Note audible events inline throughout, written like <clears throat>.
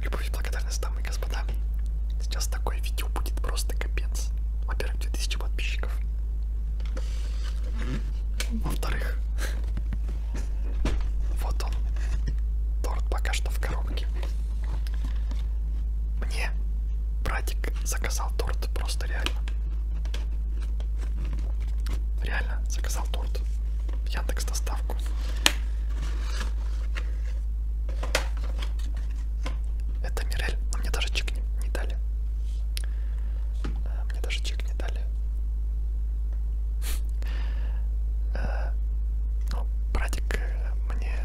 Любовь и благодарность, дамы и господа. Сейчас такое видео будет просто капец. Во-первых, 2000 подписчиков. Во-вторых, вот он. Торт пока что в коробке. Мне братик заказал торт просто реально. Реально заказал торт. Яндекс доставку. Это Мирель, но мне даже чек не, не дали. Э, мне даже чек не дали. Э, ну, братик э, мне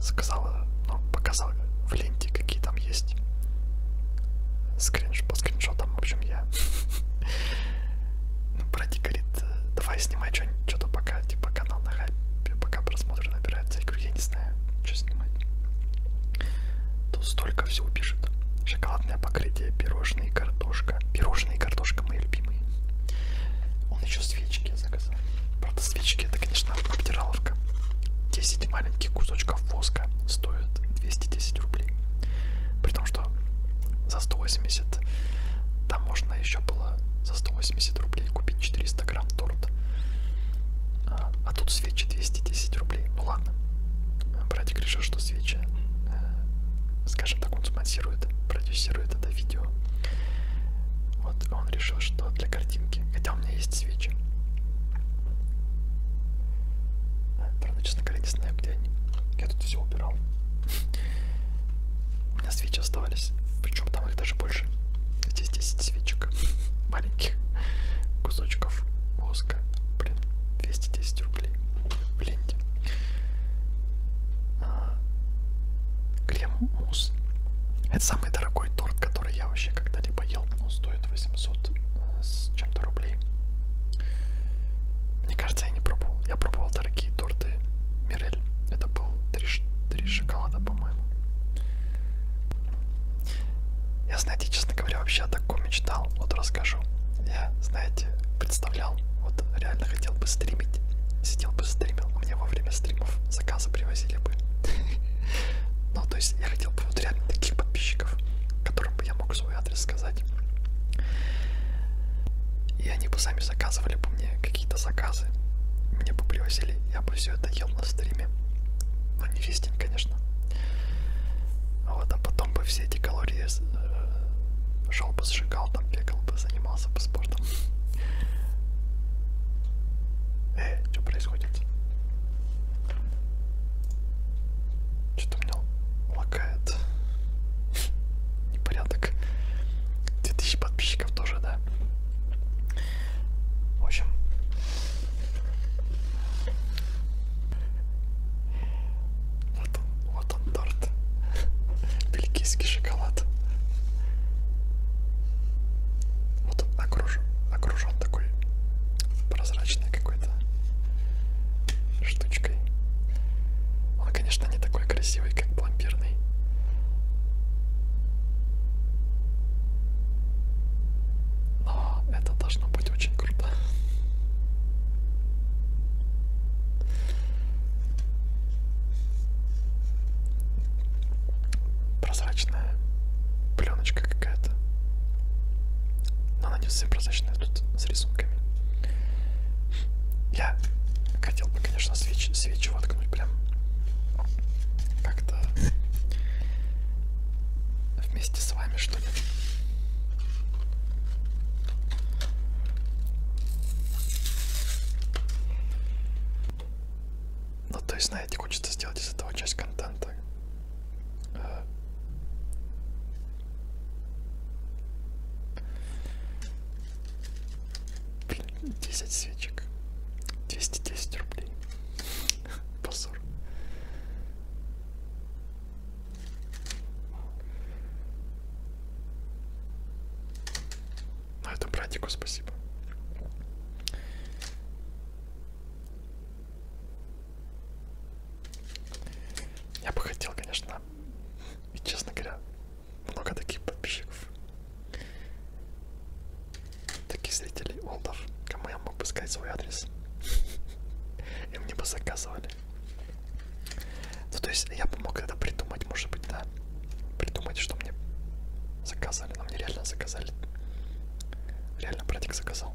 сказала, ну, показала в ленте, какие там есть скринш по скриншотам, в общем, я <laughs> Ну, братик говорит, «Э, давай снимай что-нибудь, что-то пока, типа канал на хайпе, пока просмотры набираются. Я говорю, я не знаю, что снимать. Тут столько всего пишет. Шоколадное покрытие, пирожные, картошка. Пирожные и картошка мои любимые. Он еще свечки заказал. Правда, свечки это, конечно, обдираловка. 10 маленьких кусочков воска стоит 210 рублей. При том, что за 180 там можно еще было за 180 рублей купить 400 грамм торт. А, а тут свечи 210 рублей. Ну ладно. Братик решил, что свечи, э, скажем так, он спонсирует, продюсирует это видео. Вот он решил, что для картинки, хотя у меня есть свечи. Правда, честно говоря, не знаю, где они. Я тут все убирал. У меня свечи оставались. Причем там их даже больше. Здесь 10 свечек. <laughs> Маленьких кусочков воска. Блин, 210 рублей. В ленте. А, крем мусс. Это самый дорогой торт, который я вообще когда-либо ел. Он стоит 800 э, с чем-то рублей. Мне кажется, я не пробовал. Я пробовал дорогие торты Мирель. Это был три, три шоколада, по-моему. Я, знаете, честно говоря, вообще о таком мечтал. Вот расскажу. Я, знаете, представлял, вот реально хотел бы стримить. Сидел бы стримил. Мне во время стримов заказы привозили бы. <laughs> Ну, то есть я хотел бы вот реально таких подписчиков, которым бы я мог свой свой адрес сказать. И они бы сами заказывали бы мне какие-то заказы. Мне бы привозили, я бы все это ел на стриме. Ну не весь день, конечно. Вот, а потом бы все эти калории э, шел бы, сжигал, там бегал бы, занимался бы спортом. Э, что происходит? Что-то у меня лагает непорядок. 2000 подписчиков тоже, да. В общем. Вот он, вот он торт. Бельгийский шоколад. Вот он окружен, окружен такой прозрачный какой-то штучкой. Он, конечно, не такой красивый, как пломбирный. Но это должно быть очень круто. Прозрачная пленочка какая-то. Но она не все прозрачная тут с рисунками. Я хотел бы, конечно, свеч, свечу воткнуть прям как-то вместе с вами, что ли. Ну, то есть, знаете, хочется сделать из этого часть контента. Э, Блин, 10 свечек. 210 рублей. <laughs> Позор. Ну это братику спасибо. Я бы хотел, конечно, и честно говоря, много таких подписчиков, таких зрителей олдов, кому я мог бы сказать свой адрес, <laughs> и мне бы заказывали. Ну, то есть я бы мог это придумать, может быть, да, придумать, что мне заказали, но мне реально заказали, реально братик заказал.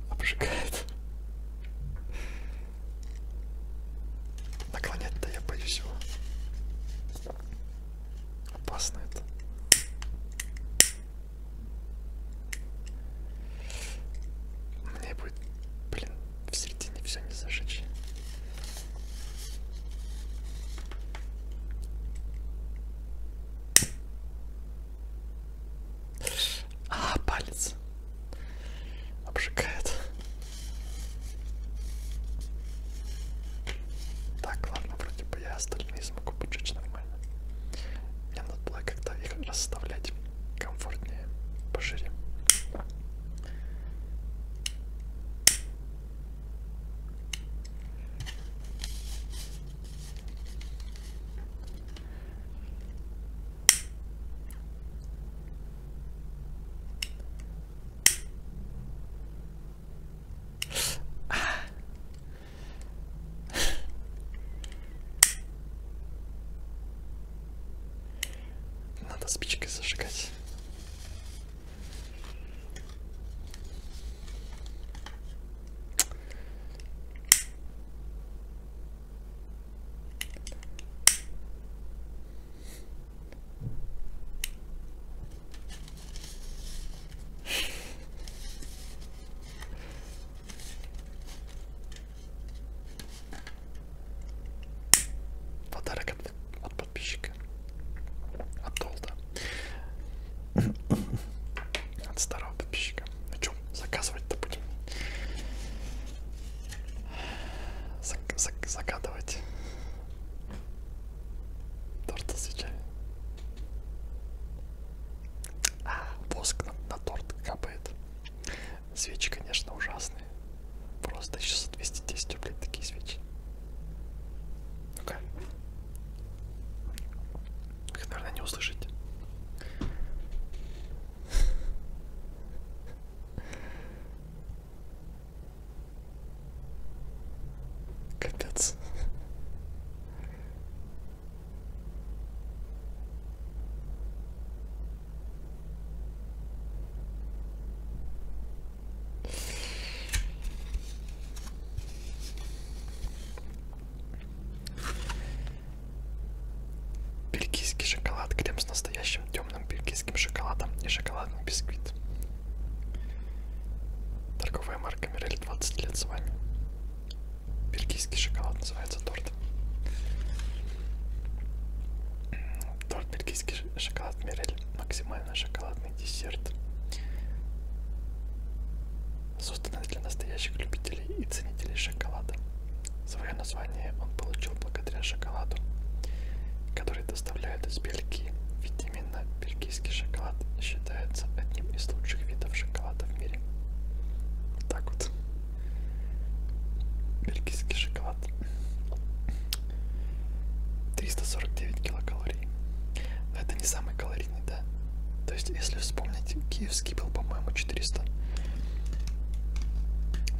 обжигает. Наклонять-то я боюсь его. Опасно это. Мне будет, блин, в середине все не зажечь. А, палец обжигает. Так, ладно, вроде бы я остальные смогу поджечь нормально. Мне надо было как-то их расставлять комфортнее, пошире. Надо спичкой зажигать. Подарок от, от подписчика от Толда. <coughs> От старого подписчика. Ну что, заказывать-то будем? Зак зак загадывать. Торт с свечами. А, воск на, на торт капает. Свечи, конечно, ужасные. Просто еще за 210 рублей такие свечи. Ну-ка. Их, наверное, не услышите. Капец. Бельгийский шоколад, крем с настоящим темным бельгийским шоколадом и шоколадный бисквит. Торговая марка Мирель 20 лет с вами. Бельгийский шоколад называется торт. Торт бельгийский шоколад Мирель. Максимально шоколадный десерт созданный для настоящих любителей и ценителей шоколада. Свое название он получил благодаря шоколаду, который доставляют из Бельгии, ведь именно бельгийский шоколад считается одним из лучших видов шоколада в мире. Так вот, бельгийский шоколад. 349 килокалорий. Но это не самый калорийный калорийный, да. То есть, если вспомнить, киевский был, по-моему, 400.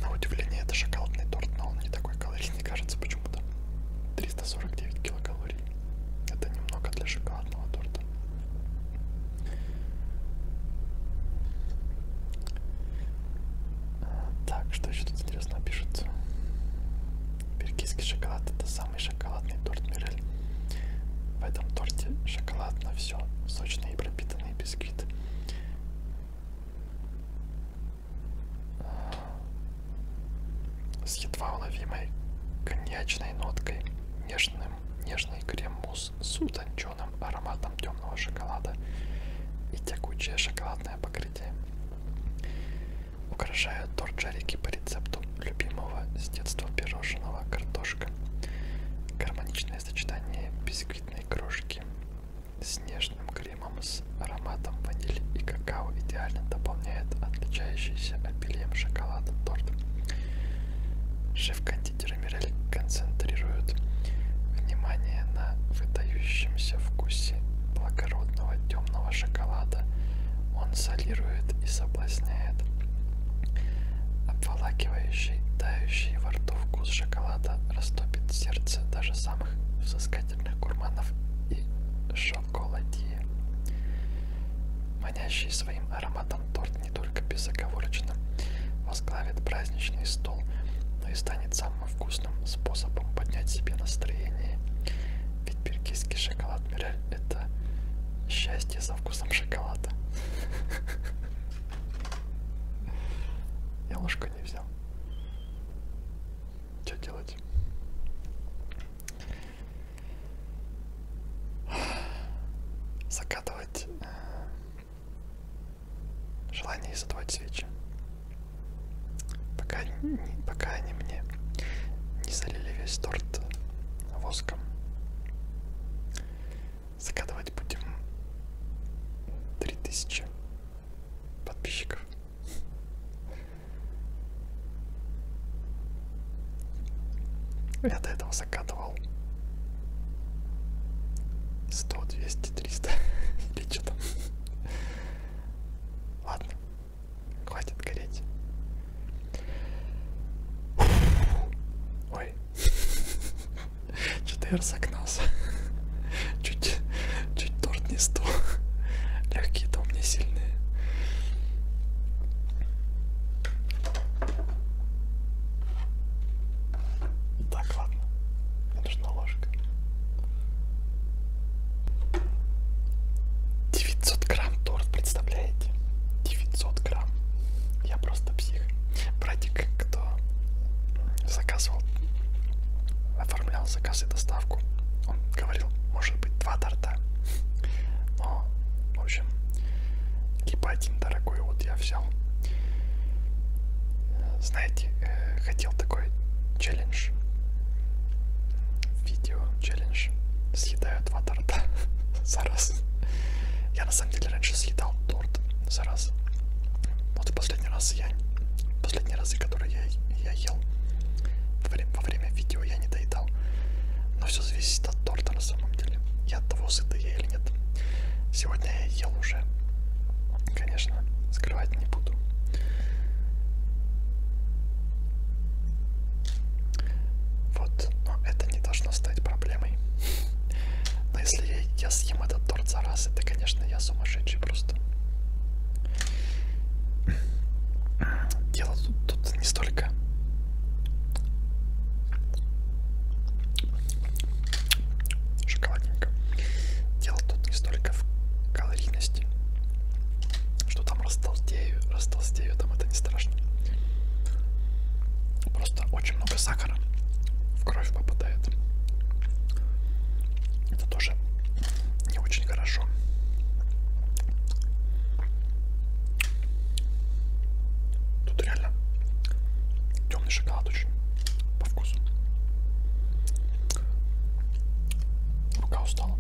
На удивление, это шоколадный торт, но он не такой калорийный, кажется, почему-то. 349 килокалорий. Это немного для шоколадного торта. Так, что еще тут интересно пишется? Бельгийский шоколад это самый шоколадный торт Мирель. В этом торте шоколад на все, сочный и пропитанный бисквит. С едва уловимой коньячной ноткой, нежным, нежный крем-мусс с утонченным ароматом темного шоколада и тягучее шоколадное покрытие. Украшают торт шарики по рецепту любимого с детства пирожного картошка. Гармоничное сочетание бисквитной крошки с нежным кремом с ароматом ванили и какао идеально дополняет отличающийся обилием шоколада торт. Шеф-кондитер Мирель концентрирует внимание на выдающемся вкусе благородного темного шоколада. Он солирует и соблазняет. Обволакивающий, тающий во рту вкус шоколада растопит сердце даже самых взыскательных гурманов и шоколадье. Манящий своим ароматом торт не только безоговорочно возглавит праздничный стол, но и станет самым вкусным способом поднять себе настроение. Ведь бельгийский шоколад Мирель – это счастье со вкусом шоколада. <laughs> Я ложку не взял. Что делать? Закатывать э, желание и задавать свечи. Пока, не, пока они мне не залили весь торт воском. Закатывать будем 3000 подписчиков. Я до этого закатывал 100, 200, 300 или что там. Ладно, хватит гореть. Ой. <laughs> Что-то я разогнался. <laughs> Чуть, чуть торт не стул. <laughs> Легкие-то у меня сильные. Так, ладно. Мне нужна ложка. 900 грамм торт, представляете? 900 грамм. Я просто псих братик, кто заказывал, оформлял заказ и доставку, он говорил, может быть, два торта. Но, в общем, либо один дорогой, вот я взял. Знаете, э, хотел такой челлендж, видео челлендж, съедаю два торта <laughs> за раз. Я на самом деле раньше съедал торт за раз. Вот в последний раз я, последние разы, которые я, я ел во время, во время видео, я не доедал. Но все зависит от торта на самом деле. И от того, сыты я или нет. Сегодня я ел уже. Конечно, скрывать не буду. Вот, но это не должно стать проблемой. Но если я, я съем этот торт за раз, это, конечно, я сумасшедший просто. Дело тут, тут не столько. Шоколадненько. Дело тут не столько в калорийности. Что там растолстею, растолстею, там это не страшно просто очень много сахара в кровь попадает. Это тоже не очень хорошо. Тут реально темный шоколад очень по вкусу. Рука устала.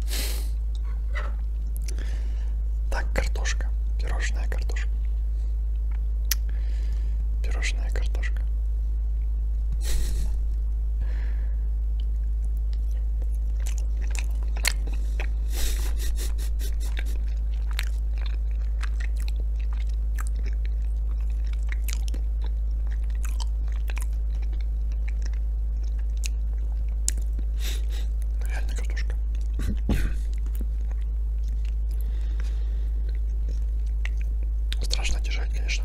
Так, картошка. Пирожная картошка. Пирожная картошка. Ну, реально картошка. Страшно держать, конечно,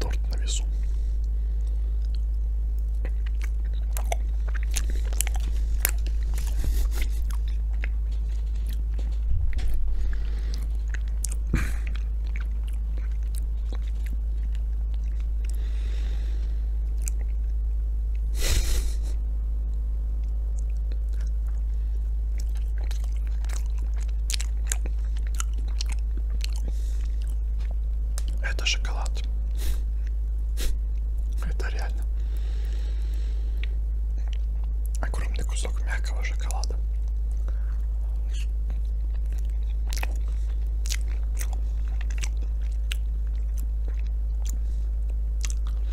торт на весу. Это шоколад. Это реально огромный кусок мягкого шоколада.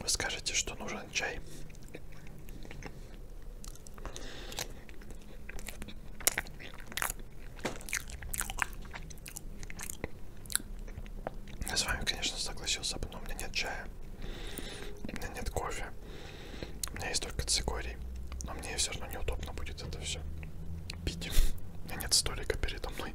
Вы скажете, что нужен чай. Я с вами, конечно, согласился, но у меня нет чая, у меня нет кофе, у меня есть только цикорий, но мне все равно неудобно будет это все пить. У меня нет столика передо мной.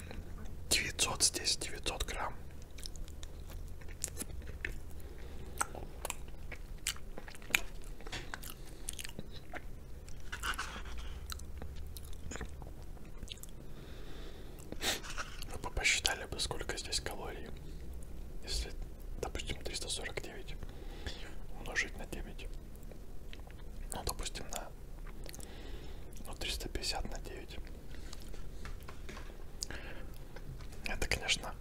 900 здесь 900 грамм вы бы посчитали бы сколько здесь калорий если допустим 349 умножить на 9 ну допустим на да. Ну, 350 на 9. Это, конечно,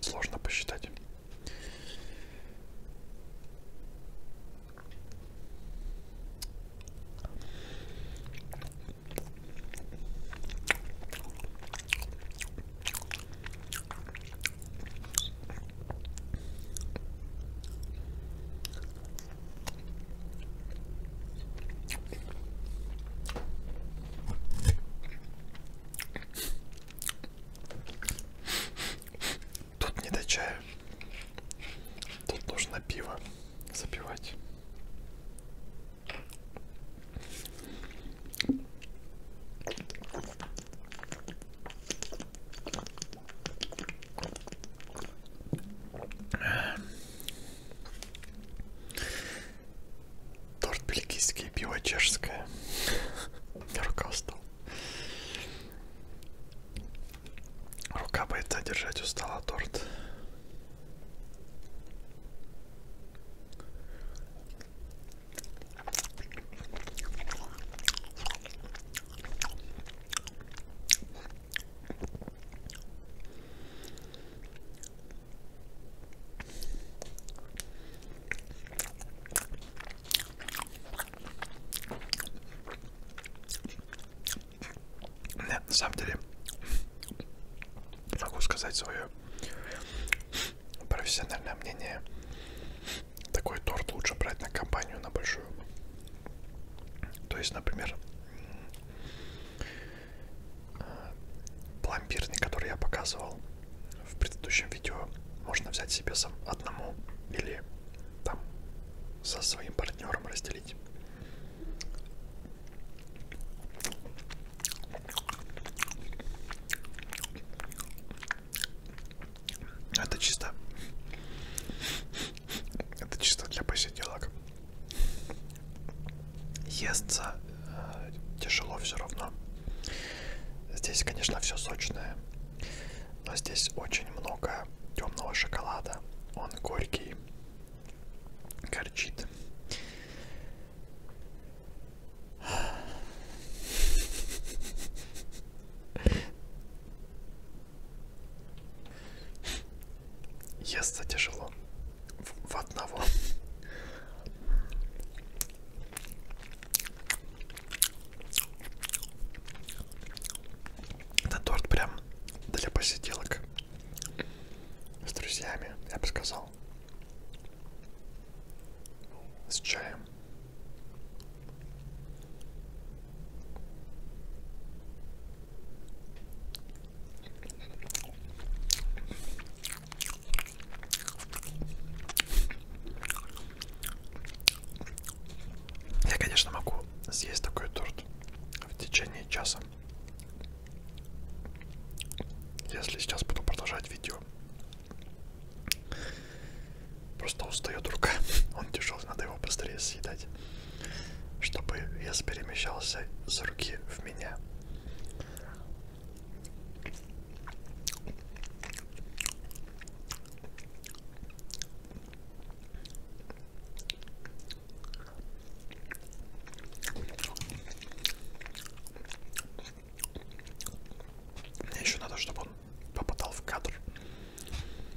сложно посчитать. Тут не до чая. Тут нужно пиво запивать. Торт бельгийский, пиво чешское. <laughs> Рука устала. Рука боится держать устала торт. Да, на самом деле могу сказать свое профессиональное мнение. Такой торт лучше брать на компанию, на большую. То есть, например, пломбирный, который я показывал в предыдущем видео, можно взять себе сам одному или там со своим партнером разделить. Это чисто это чисто для посиделок. Естся э, тяжело все равно. Здесь, конечно, все сочное, но здесь очень много темного шоколада. Он горький, горчит. Естся тяжело. В, в одного. Это торт прям для посиделок с друзьями, я бы сказал. С чаем. Я, конечно, могу съесть такой торт в течение часа. Если сейчас буду продолжать видео. Просто устает рука. <laughs> Он тяжелый, надо его быстрее съедать чтобы вес перемещался с руки в меня. Мне еще надо, чтобы он попадал в кадр.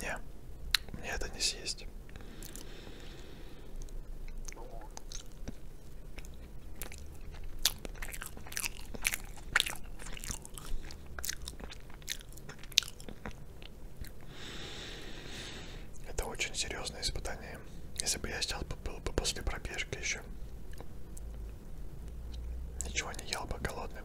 Не, мне это не съесть. Это очень серьезное испытание. Если бы я сейчас был бы после пробежки еще, ничего не ел бы голодным.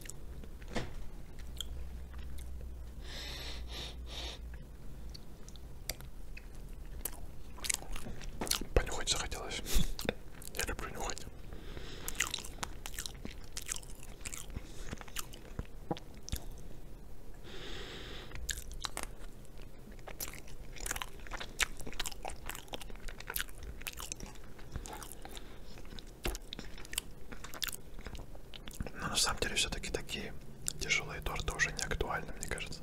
Понюхать захотелось. Я люблю нюхать. Но на самом деле все-таки такие тяжелые торты уже не актуальны, мне кажется.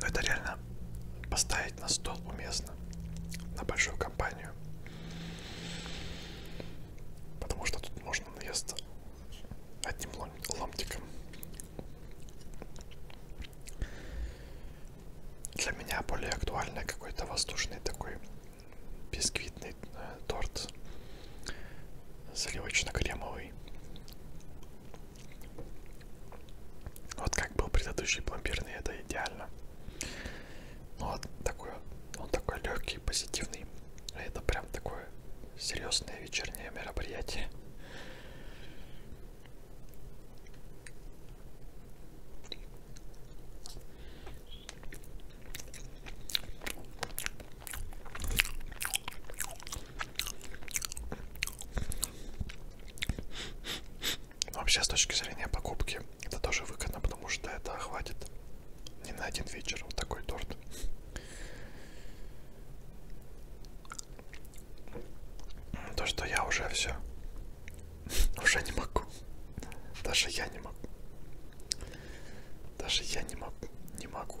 Но это реально поставить на стол уместно, на большую компанию. Потому что тут можно наесться одним ломтиком. Для меня более актуально какой-то воздушный такой бисквитный э, торт заливочно-кремовый. Вот как был предыдущий пломбирный, это идеально. Но ну, вот такой, он такой легкий, позитивный. А это прям такое серьезное вечернее мероприятие. Ну, вообще, с точки зрения покупки, это тоже выгодно, потому что это хватит не на один вечер вот такой торт. То, что я уже все. <laughs> Уже не могу. Даже я не могу. Даже я не могу. Не могу.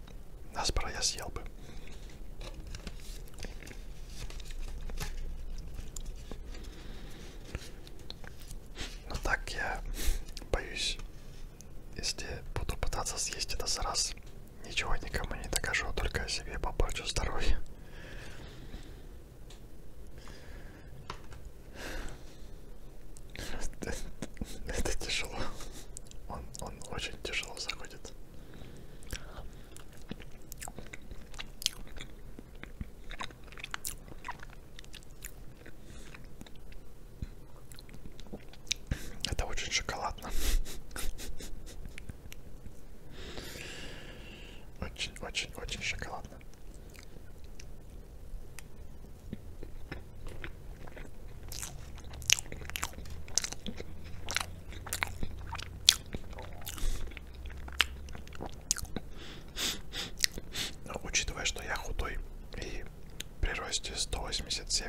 Наспора я съел бы. Но так я боюсь, если буду пытаться съесть это за раз, ничего никому не докажу, только себе попорчу здоровье. <laughs> Это тяжело. Он, он очень тяжело заходит. Это очень шоколадно. Очень-очень-очень шоколадно. Но, учитывая, что я худой и при росте 187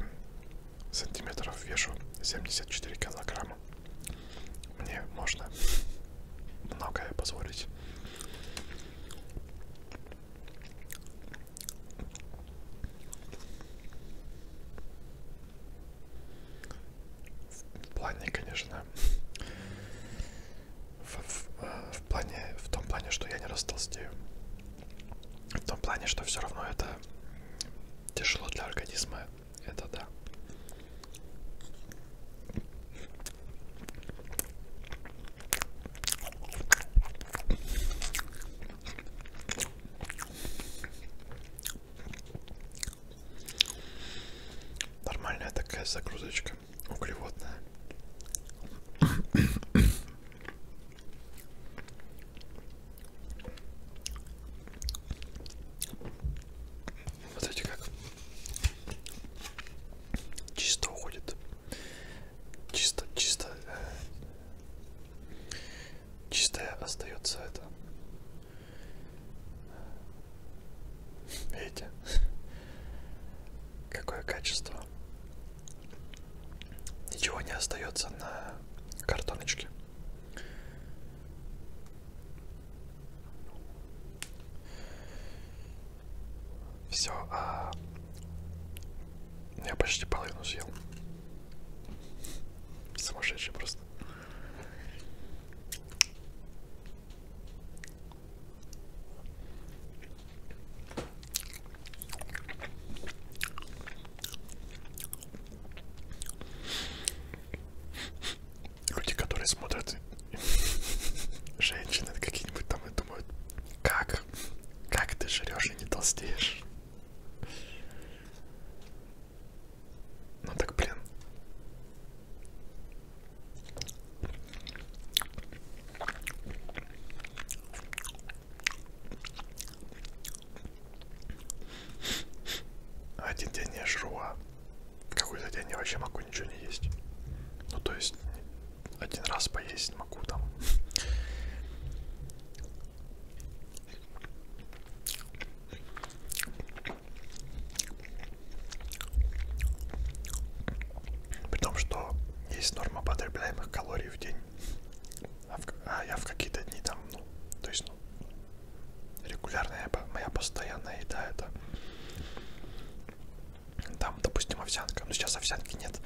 сантиметров вешу 74 килограмма, мне можно многое позволить. В плане, конечно, в, в, э, в, плане, в том плане, что я не растолстею. В том плане, что все равно это тяжело для организма. Это да. Нормальная такая загрузочка, углеводная. Смотрите, как чисто уходит, чисто, чисто э, Чистая остается это. Видите? Какое качество. Ничего не остается на картоночке. Все, а я почти половину съел. Сумасшедший просто. Люди, которые смотрят <laughs> женщины какие-нибудь там и думают, как, как ты жрешь и не толстеешь. Ну так, блин. Один день я жру, а какой-то день я вообще могу ничего не есть. Ну то есть один раз поесть могу там. При том, что есть норма потребляемых калорий в день, а, в, а я в какие-то дни там, ну, то есть, ну, регулярная моя постоянная еда это там, допустим, овсянка, но сейчас овсянки нет.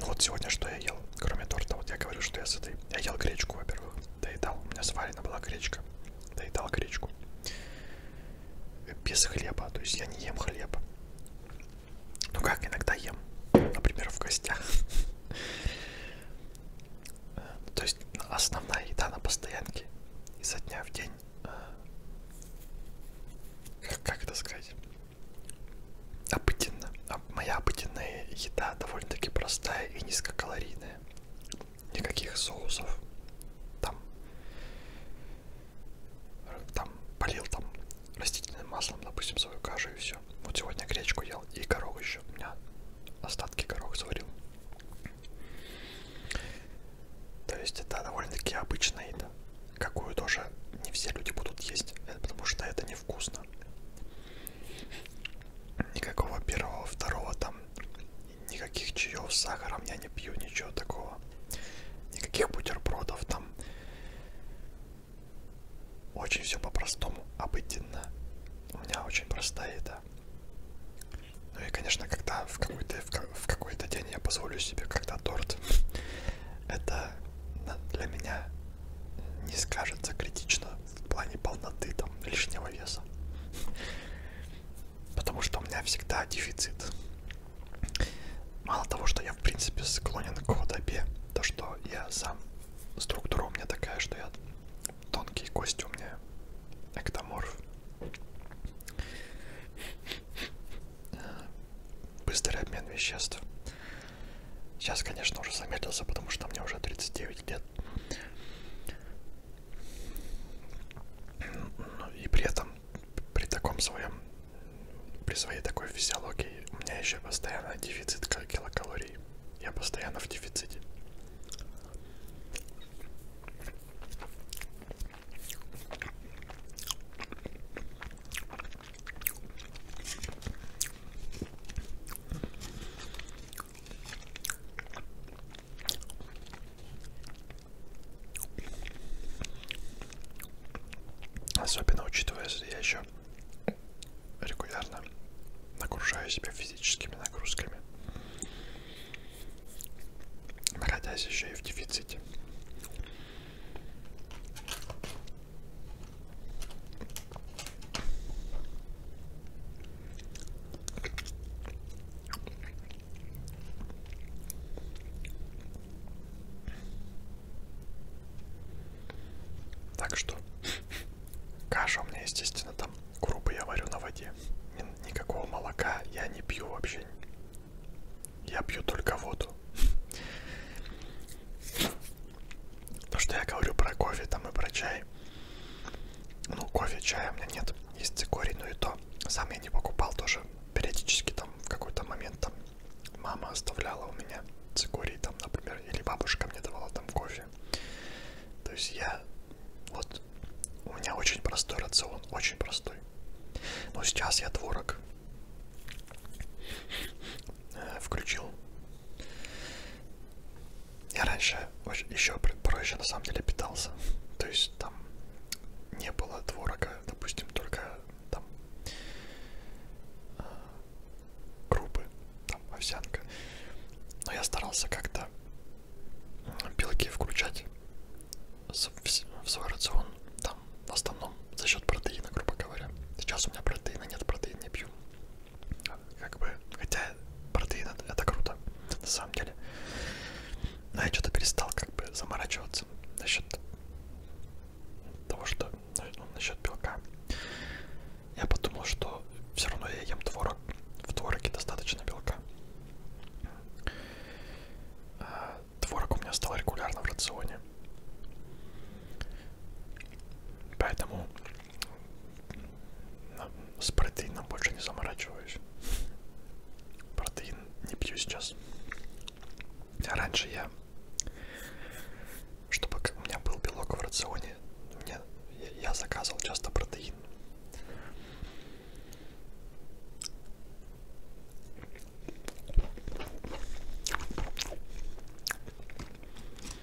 Ну вот сегодня что я ел, кроме торта, вот я говорю, что я сытый. Я ел гречку, во-первых, доедал. У меня сварена была гречка, доедал гречку. Без хлеба, то есть я не ем хлеб. Ну как, иногда ем, например, в гостях. <laughs> То есть основная еда на постоянке изо дня в день. Как это сказать? обыденно. Моя обыденная еда довольно-таки простая и низкокалорийная. Никаких соусов. Там, там полил там растительным маслом, допустим, свою кашу и все. Вот сегодня гречку ел и горох еще. У меня остатки горох сварил. То есть это довольно-таки обычная еда, какую тоже не все люди будут есть, э, потому что это невкусно конечно. Никакого первого, второго там, никаких чаев с сахаром я не пью, ничего такого. Никаких бутербродов там. Очень все по-простому, обыденно. У меня очень простая еда. Ну и, конечно, когда в какой-то в какой-то день я позволю себе, когда торт, <laughs> это для меня не скажется критично в плане полноты там лишнего веса. Потому что у меня всегда дефицит. Мало того, что я в принципе склонен к худобе, то что я сам структура у меня такая, что я тонкие кости у меня эктоморф. Быстрый обмен веществ. Сейчас, конечно, уже замедлился, потому что мне уже 39 лет. Ну, и при этом, при таком своем, при своей такой физиологии, у меня еще постоянно дефицит килокалорий. Я постоянно в дефиците. Особенно учитывая, что я еще регулярно нагружаю себя физическими нагрузками, находясь еще и в дефиците. Так что каша у меня, естественно, там крупы я варю на воде. Никакого молока я не пью вообще. Я пью только воду. То, что я говорю про кофе там и про чай. Ну, кофе, чая у меня нет. Есть цикорий, но и то. Сам я не покупал тоже. Периодически там в какой-то момент там мама оставляла у меня цикорий там, например, или бабушка мне давала там кофе. То есть я вот у меня очень простой рацион, очень простой. Но сейчас я творог э, включил я раньше очень, еще проще на самом деле питался. То есть там не было творога, допустим, только там э, крупы, там овсянка. Но я старался как-то белки включать в свой рацион, там в основном за счет протеина, грубо говоря. Сейчас у меня протеина нет, протеин не пью. Как бы, хотя протеин это, это круто, на самом деле. Но я что-то перестал как бы заморачиваться насчет того, что ну, ну насчет белка. Я подумал, что все равно я ем творог. В твороге достаточно белка. А, творог у меня стал регулярно в рационе. Поэтому с протеином больше не заморачиваюсь. Протеин не пью сейчас. А раньше я, чтобы у меня был белок в рационе, мне, я заказывал часто протеин.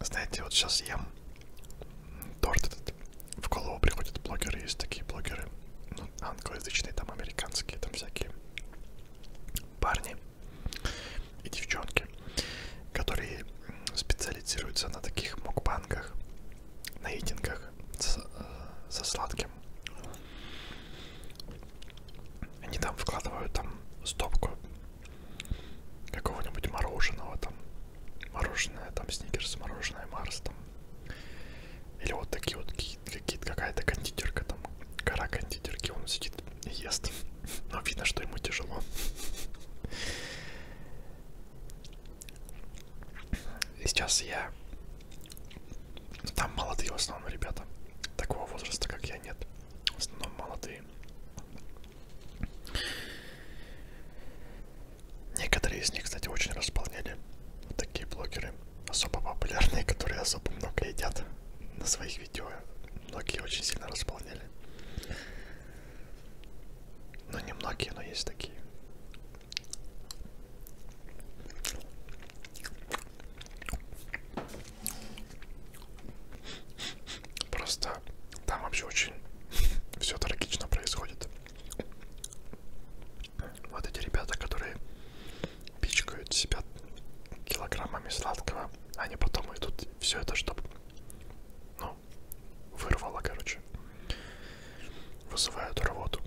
Знаете, вот сейчас ем торт этот. В голову приходят блогеры, есть такие блогеры, ну, англоязычные, там американские, там всякие парни и девчонки, которые специализируются на таких мукбангах, на идингах со, э, со сладким. Они там вкладывают там стопку какого-нибудь мороженого там. Мороженое, там сникерс, мороженое Марс там. Или вот такие вот какие-то какая-то кондитерка там. Гора кондитерки, он сидит и ест. <laughs> Но видно, что ему тяжело. И сейчас я... Ну, там молодые в основном ребята. Такого возраста, как я, нет. В основном молодые. Некоторые из них, кстати, очень располняли. Вот такие блогеры, особо популярные, которые особо много едят на своих видео. Многие очень сильно располняли. Ну, не многие, но есть такие. Просто там вообще очень <laughs> все трагично происходит. Вот эти ребята, которые пичкают себя килограммами сладкого, они потом идут все это, чтобы, ну, вырвало, короче, вызывают рвоту.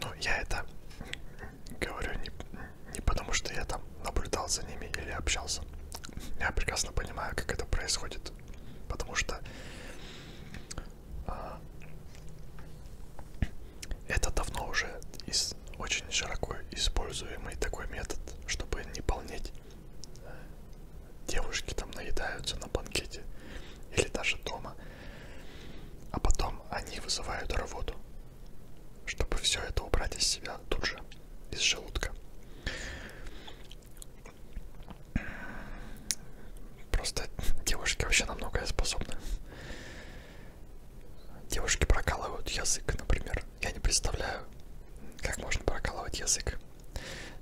Ну, я это говорю не, не потому, что я там наблюдал за ними или общался. Я прекрасно понимаю, как это происходит. Потому что а, это давно уже из, очень широко используемый такой метод, чтобы не полнеть. Э, девушки там наедаются на банкете или даже дома. А потом они вызывают рвоту, чтобы все это убрать из себя тут же, из желудка. Просто девушки вообще на многое способны. Девушки прокалывают язык, например. Я не представляю, как можно прокалывать язык.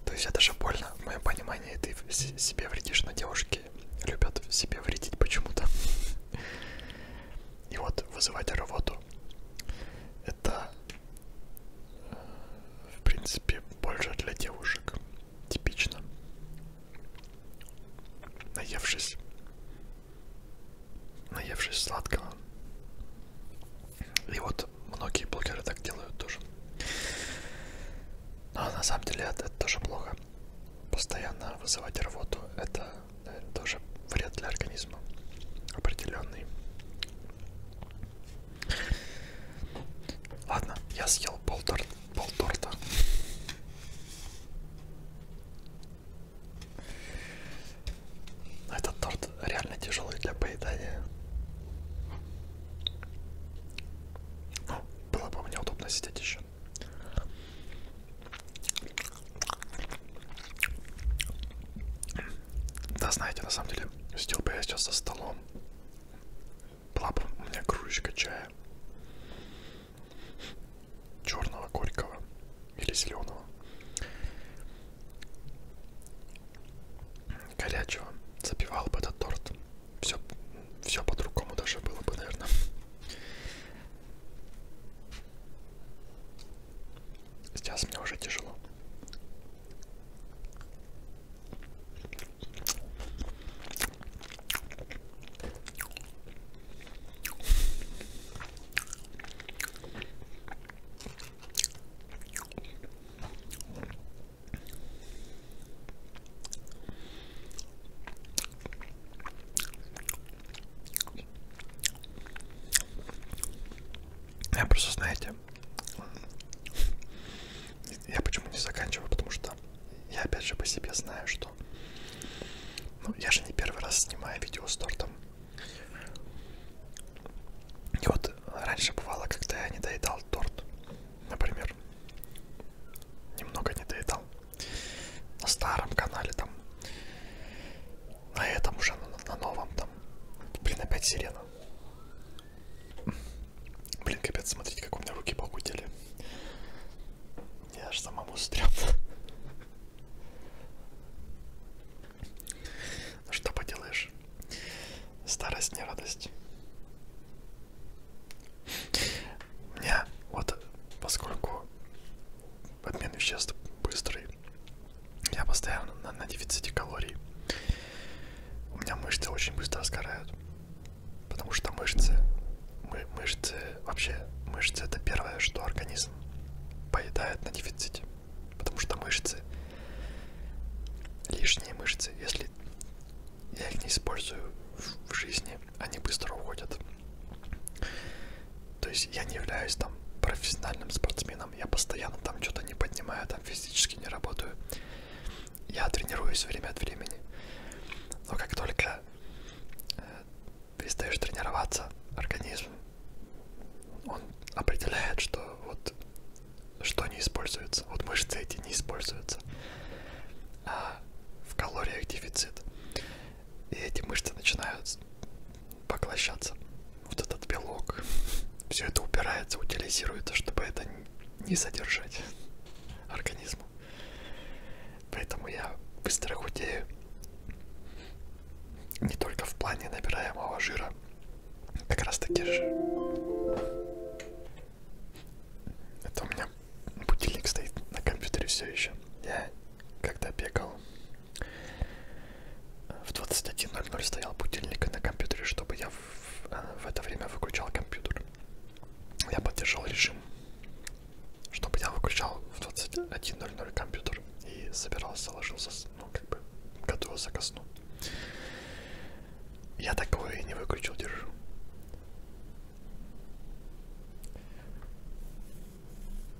То есть это же больно. В моем понимании ты себе вредишь, но девушки девочки любят себе вредить почему-то. И вот вызывать рвоту. Это, э, в принципе, больше для девушек. Типично. Наевшись. Наевшись сладкого. И вот многие блогеры так делают тоже. Но на самом деле это, это тоже плохо. Постоянно вызывать рвоту это, наверное, тоже вред для организма определенный. Ладно, я съел пол, тор пол торта. Этот торт реально тяжелый для поедания. Ну, было бы мне удобно сидеть еще. Да, знаете, на самом деле, сидел бы я сейчас за столом. Была бы у меня кружечка чая. Черного, горького или зеленого. Горячего. Запивал бы этот торт все, все по-другому даже было бы, наверное. Сейчас мне уже тяжело. Я просто, знаете, я почему не заканчиваю, потому что я опять же по себе знаю, что ну, я же не первый раз снимаю видео с тортом. И вот раньше бывало, когда я не доедал торт, например, немного не доедал на старом канале там, на этом уже, на, на новом там, блин, опять сирена. Блин, капец, смотрите, как у меня руки похудели. Я аж самому стрёмно. Что поделаешь? Старость не радость. У меня вот, поскольку обмен веществ быстрый, я постоянно на, на дефиците калорий. У меня мышцы очень быстро сгорают, потому что мышцы, мы, мышцы вообще мышцы это первое, что организм поедает на дефиците, потому что мышцы лишние мышцы, если я их не использую в жизни, они быстро уходят. То есть я не являюсь там профессиональным спортсменом, я постоянно там что-то не поднимаю, там физически не работаю. Я тренируюсь время от времени. Но как только э, перестаешь тренироваться, организм, он определяет, что вот что не используется. Вот мышцы эти не используются а в калориях дефицит. И эти мышцы начинают поглощаться. Вот этот белок. <laughs> Все это упирается, утилизируется, чтобы это не содержать <laughs> организму. Поэтому я быстро худею. Не только в плане набираемого жира. Как раз таки же это у меня будильник стоит на компьютере все еще. Я когда бегал, в 21.00 стоял будильник на компьютере, чтобы я в, а, в это время выключал компьютер. Я поддержал режим, чтобы я выключал в 21.00 компьютер и собирался, ложился, ну как бы готовился ко сну. Я такое и не выключил, держу.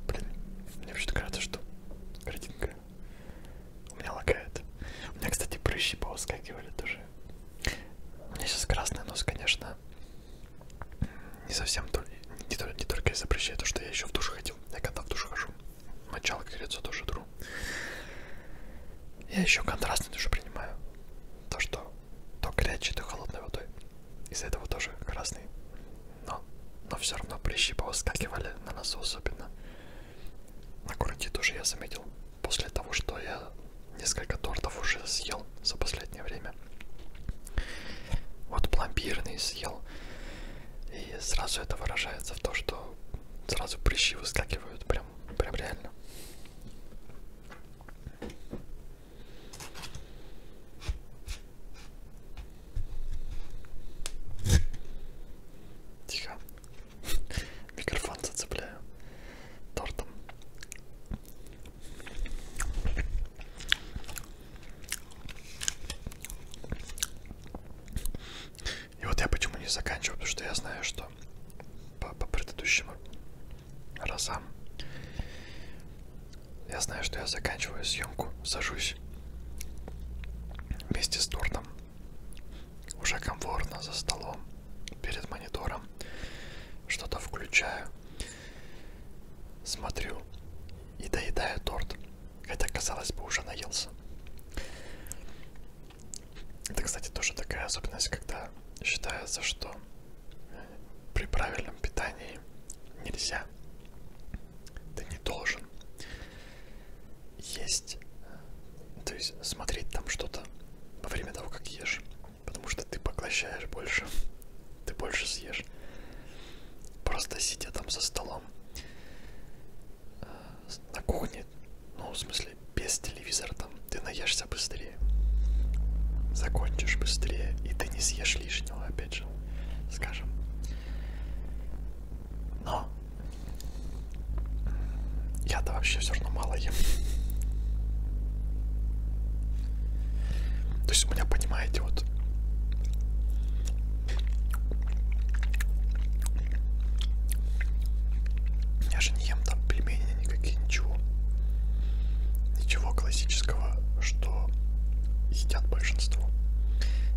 Блин, мне вообще-то кажется, что картинка у меня лагает. У меня, кстати, прыщи повыскакивали тоже. У меня сейчас красный нос, конечно, не совсем то ли, не, то, не только из-за прыщей, а то, что я еще в душу ходил. Я когда в душу хожу, мочалка и лицо тоже тру. Я еще контрастный душу принимаю. То, что то горячей, то холодной водой. Из-за этого тоже красный. Но, но все равно прыщи повыскакивали на носу особенно. На городе тоже я заметил. После того, что я несколько тортов уже съел за последнее время. Вот пломбирный съел. И сразу это выражается в том, что сразу прыщи выскакивают прям, прям реально. Тихо. Микрофон зацепляю тортом. И вот я почему не заканчиваю, потому что я знаю, что по, по предыдущему Розам. Я знаю, что я заканчиваю съемку, сажусь вместе с тортом. Уже комфортно за столом, перед монитором. Что-то включаю, смотрю и доедаю торт. Хотя, казалось бы, уже наелся. Это, кстати, тоже такая особенность, когда считается, что при правильном питании нельзя. Ты не должен есть, то есть смотреть там что-то во время того, как ешь, потому что ты поглощаешь больше, ты больше съешь. Просто сидя там за столом э, на кухне, ну, в смысле, если без телевизора там ты наешься быстрее, закончишь быстрее, и ты не съешь лишнего, опять же, скажем. Но я-то вообще все равно мало ем. То есть у меня, понимаете, вот я же не ем там пельмени, изменения никакие, ничего. Ничего классического, что едят большинство.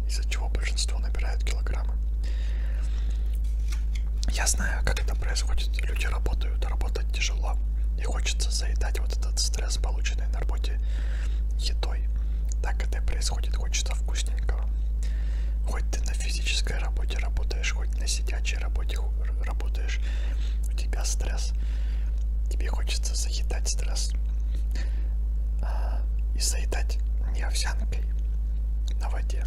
Из-за чего большинство набирают килограммы. Я знаю, как это происходит. Люди работают, работать тяжело. И хочется заедать вот этот стресс, полученный на работе едой. Так это и происходит, хочется вкусненького. Хоть ты на физической работе работаешь, хоть на сидячей рабочей работе работаешь, у тебя стресс, тебе хочется заедать стресс а, и заедать не овсянкой на воде,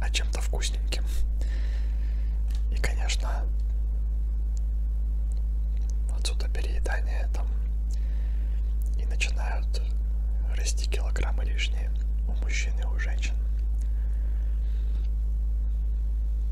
а чем-то вкусненьким. И, конечно, отсюда переедание там и начинают расти килограммы лишние у мужчин и у женщин.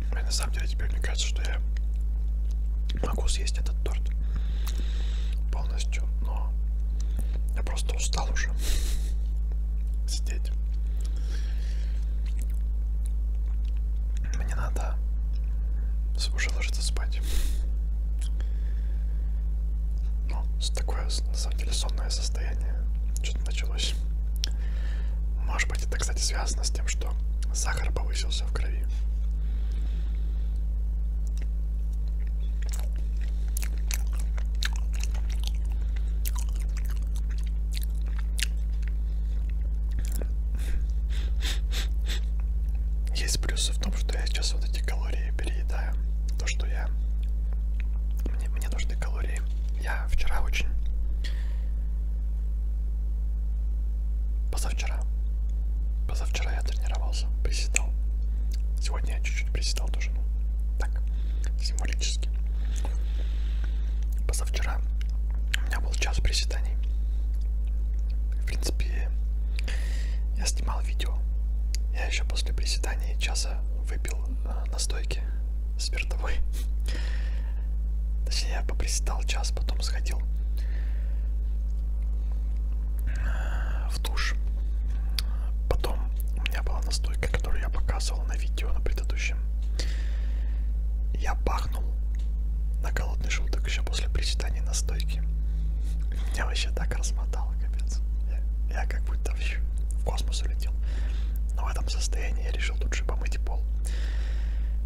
И на самом деле теперь мне кажется, что я могу съесть этот торт полностью, но я просто устал уже сидеть. Мне надо уже ложиться спать. Ну, такое, на самом деле, сонное состояние что-то началось. Может быть, это, кстати, связано с тем, что сахар повысился в крови. Есть плюсы в том, что я сейчас вот эти калории переедаю. То, что я... Мне, мне нужны калории. Я вчера очень Позавчера. Позавчера я тренировался, приседал. Сегодня я чуть-чуть приседал тоже, ну, так, символически. Позавчера у меня был час приседаний. В принципе, я снимал видео. Я еще после приседаний часа выпил э, настойки спиртовой. Точнее, я попристал час, потом сходил в душ. Потом у меня была настойка, которую я показывал на видео на предыдущем. Я пахнул на голодный желудок еще после причитания настойки. Меня вообще так размотало, капец. Я, я как будто в, в космос улетел. Но в этом состоянии я решил тут же помыть пол ушел.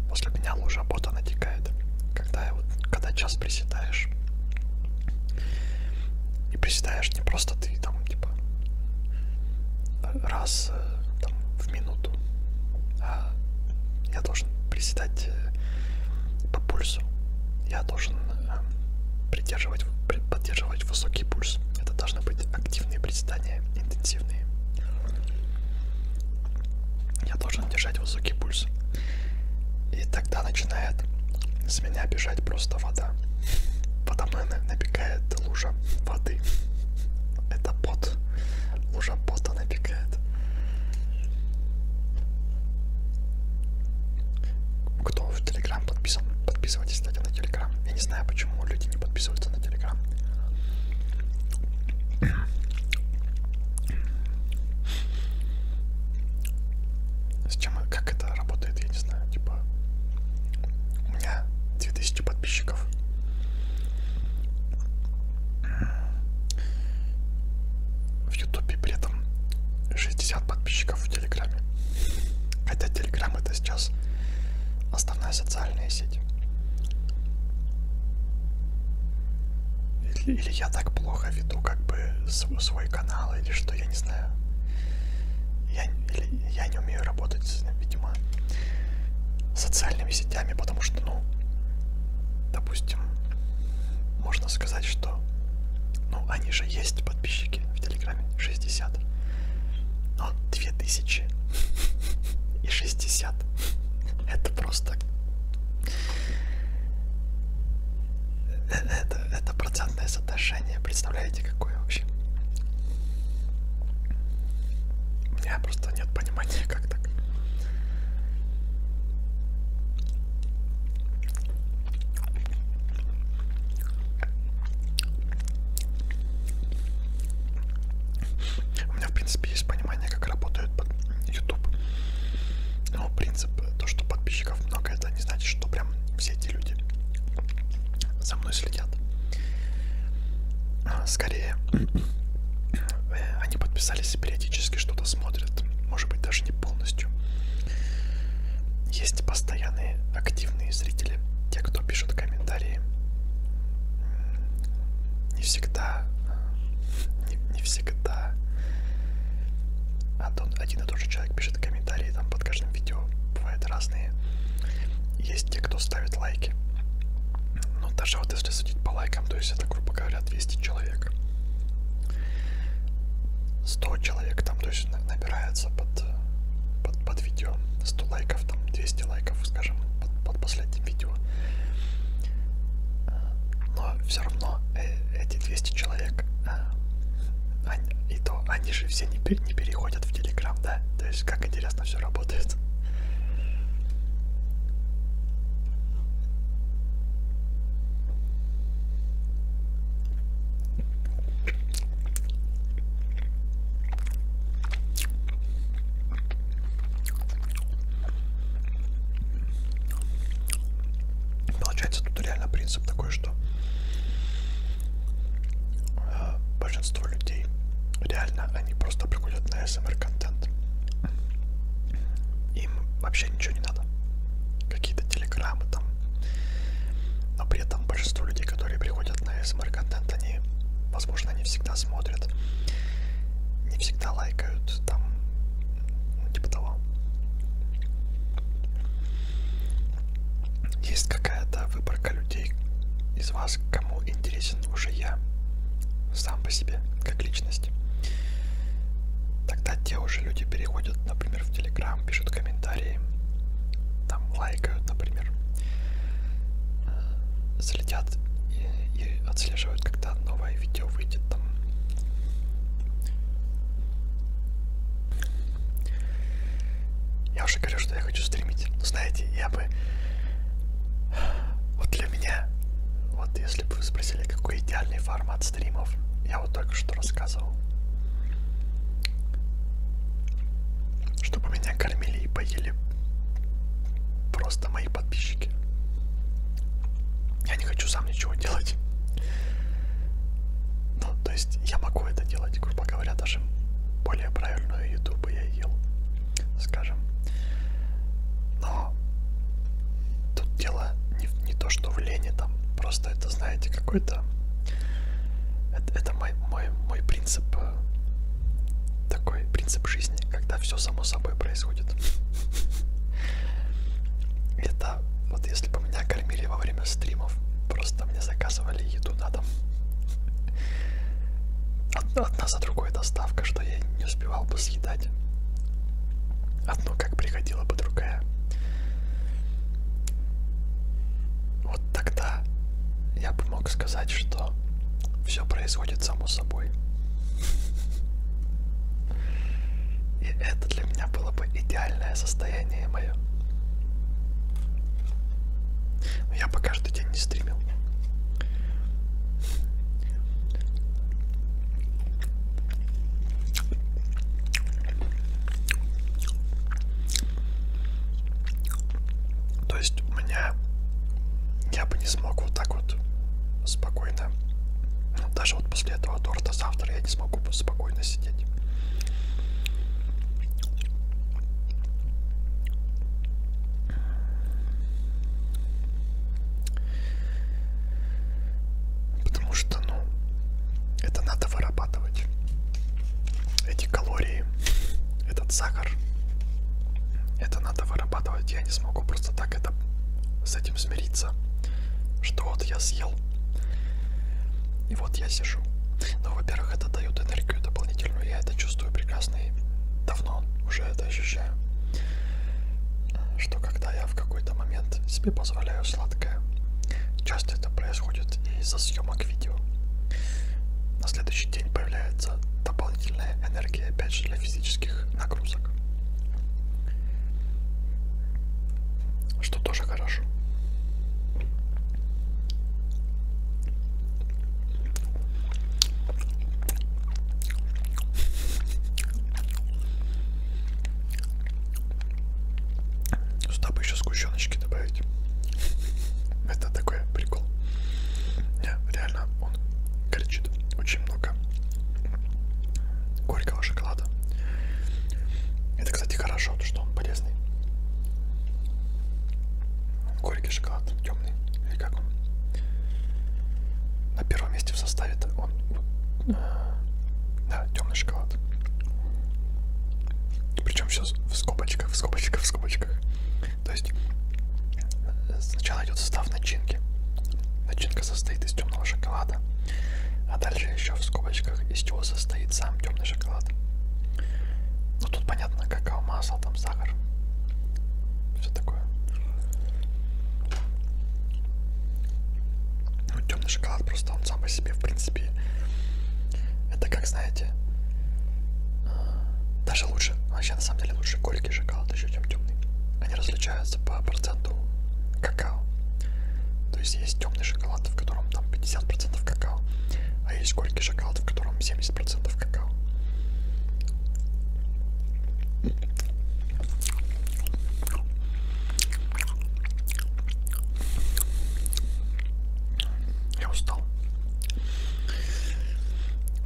После меня лужа бота натекает. Когда, я вот, когда час приседаешь, и приседаешь не просто ты там, типа, раз э, там, в минуту, а я должен приседать э, по пульсу. Я должен э, придерживать, поддерживать высокий пульс. Это должны быть активные приседания, интенсивные я должен держать высокий пульс. И тогда начинает с меня бежать просто вода. Подо мной набегает лужа воды. Это пот. Лужа пота набегает. Кто в Телеграм подписан, подписывайтесь, кстати, на Телеграм. Я не знаю, почему люди не подписываются на Телеграм. С чем, как это работает, я не знаю. Типа, у меня 2000 подписчиков. В Ютубе при этом 60 подписчиков в Телеграме. Хотя Телеграм это сейчас основная социальная сеть. Или, или я так плохо веду как бы свой, свой канал, или что, я не знаю. Я, или я не умею работать, с, видимо, социальными сетями, потому что, ну, допустим, можно сказать, что, ну, они же есть, подписчики в Телеграме, 60, но 2000 и 60 ребят. Это просто... Э, это, это процентное соотношение. Представляете, какое вообще? У меня просто нет понимания, как так. У меня, в принципе, есть понимание, как работает YouTube. Но принцип, то, что подписчиков много, это не значит, что прям все эти люди за мной следят. А, скорее, <clears throat> они подписались и периодически что-то смотрят. Может быть, даже не полностью. Есть постоянные активные зрители, те, кто пишет комментарии, не всегда, не, не всегда а один и тот же человек пишет комментарии там под каждым видео, бывают разные. Есть те, кто ставит лайки. Но ну, даже вот если судить по лайкам, то есть это, грубо говоря, 200 человек. 100 человек там, то есть набирается под, э, под, под видео. 100 лайков, там 200 лайков, скажем, под, под последним видео. Э, но все равно э, эти 200 человек, э, они, и то они же все не, не переходят в Телеграм, да? То есть как интересно все работает. Получается, тут реально принцип такой, что э, большинство людей реально они просто приходят на СМР контент. Им вообще ничего не надо. Какие-то телеграммы там. Но при этом большинство людей, которые приходят на СМР контент, они, возможно, они всегда смотрят не всегда лайкают там, ну, типа того. Есть какая-то выборка людей из вас, кому интересен уже я сам по себе, как личность. Тогда те уже люди переходят, например, в Телеграм, пишут комментарии, там лайкают, например, залетят от, и, и отслеживают, когда новое видео выйдет там. Я уже говорю, что я хочу стримить. Но ну, знаете, я бы... Вот для меня, вот если бы вы спросили, какой идеальный формат стримов, я вот только что рассказывал. Чтобы меня кормили и поели просто мои мои подписчики. Я не хочу сам ничего делать. Ну, то есть я могу это делать, грубо говоря, даже более правильную еду бы я ел, скажем. Но тут дело не, не то, что в лени там, просто это, знаете, какой-то... Это, это мой, мой, мой принцип э, такой принцип жизни, когда все само собой происходит. Это вот если бы меня кормили во время стримов, просто мне заказывали еду на дом. Одна за другой доставка, что я не успевал бы съедать. Одно как приходила бы другая. Вот тогда я бы мог сказать, что все происходит само собой собой. И это для меня было бы идеальное состояние мое. Но я бы каждый день не стримил. То есть у меня я бы не смог вот так вот спокойно. Даже вот после этого торта завтра я не смогу спокойно сидеть. Потому что, ну, это надо вырабатывать. Эти калории, этот сахар, это надо вырабатывать. Я не смогу просто так так это с этим смириться, что вот я съел, и вот я сижу. Ну, во-первых, это дает энергию дополнительную, я это чувствую прекрасно и давно уже это ощущаю. Что когда я в какой-то момент себе позволяю сладкое, часто это происходит из-за съемок видео. На следующий день появляется дополнительная энергия, опять же, для физических нагрузок. Что тоже хорошо. Сюда бы еще сгущеночки добавить. Это такой прикол. Не, реально он кричит очень много горького шоколада. Это, кстати, хорошо, то, что он полезный. Горький шоколад, темный, или как он? На первом месте в составе -то он, э, да, темный шоколад. Причем все в скобочках, в скобочках, в скобочках. То есть э, сначала идет состав начинки. Начинка состоит из темного шоколада, а дальше еще в скобочках из чего состоит сам темный шоколад. Ну тут понятно, какао, масло, там сахар, все такое. Ну, темный шоколад просто он сам по себе, в принципе, это как знаете, э, даже лучше, вообще на самом деле лучше горький шоколад, еще чем темный. Они различаются по проценту какао. То есть есть темный шоколад, в котором там 50% какао, а есть горький шоколад, в котором 70% какао. Я устал.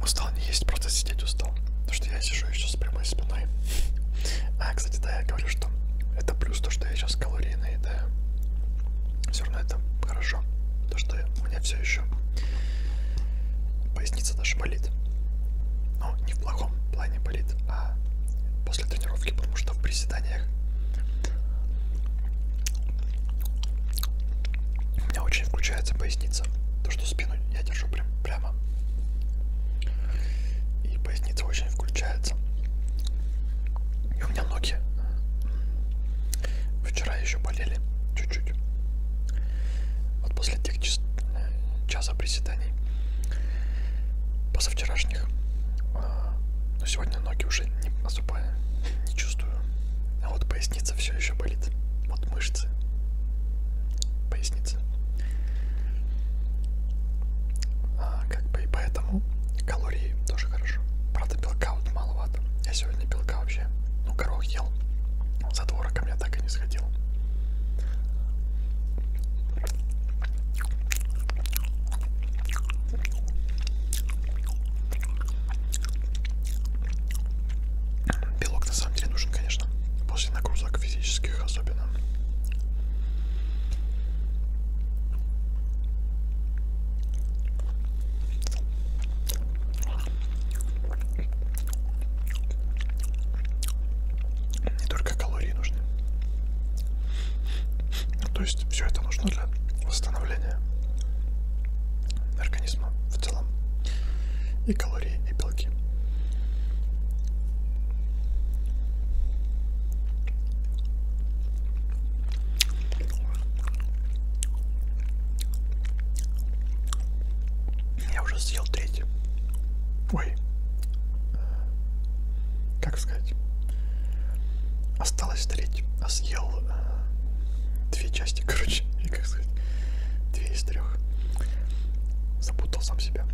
Устал не есть, просто сидеть устал устал. Потому что я сижу еще с прямой спиной. А, кстати, да, я говорю, что это плюс то, что я сейчас калории наедаю. Все равно это хорошо. То, что у меня все еще поясница даже болит. Но ну, не в плохом плане болит, а после тренировки, потому что в приседаниях у меня очень включается поясница. То, что спину я держу прям прямо. И поясница очень включается. И у меня ноги вчера еще болели чуть-чуть. Вот после тех час, часа приседаний позавчерашних. А, Но ну, сегодня ноги уже не особо не чувствую. А вот поясница все еще болит. Вот мышцы. Поясница называется. А, как бы и поэтому калории тоже хорошо. Правда, белка вот маловато. Я сегодня белка вообще, ну, горох ел. За творогом я так и не сходил. Белок на самом деле нужен, конечно, после нагрузок физических особенно. Не только калории нужны. То есть все это нужно для восстановления организма в целом. И калории калории и белки. Я уже съел третий. Ой. Э, как сказать? Осталось треть. А съел э, две части, <laughs> короче точнее, как сказать, две из трех. Запутал сам себя.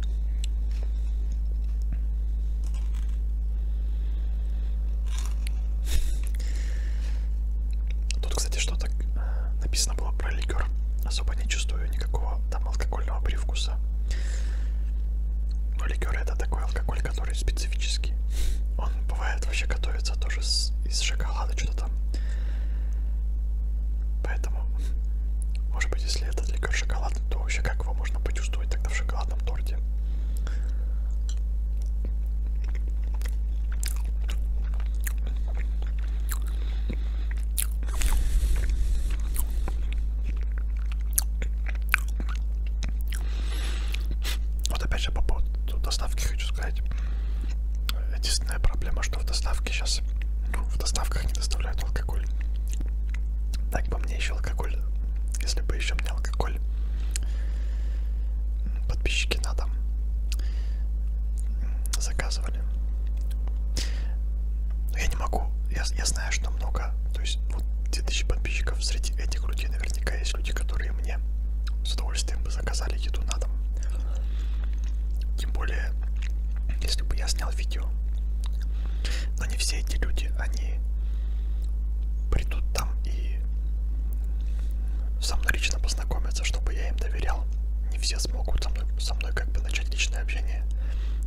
Тут, кстати, что-то э, написано было про ликер. Особо не чувствую никакого там алкогольного привкуса. Но ликер это такой алкоголь, который специфический. Он бывает вообще готовится тоже с, из шоколада, что-то там Поэтому, может быть, если этот ликер шоколадный, то вообще как его можно почувствовать тогда в шоколадном торте? Вот опять же по поводу доставки хочу сказать, Единственная проблема, что в доставке сейчас, ну, в доставках не доставляют алкоголь. Так бы мне еще алкоголь, если бы еще мне алкоголь, подписчики на дом заказывали. Но я не могу, я, я знаю, что много, то есть вот 2000 подписчиков среди этих людей наверняка есть люди, которые мне с удовольствием бы заказали еду на дом. Тем более если бы я снял видео. Но не все эти люди, они придут там и со мной лично познакомятся, чтобы я им доверял. Не все смогут со мной, со мной как бы начать личное общение,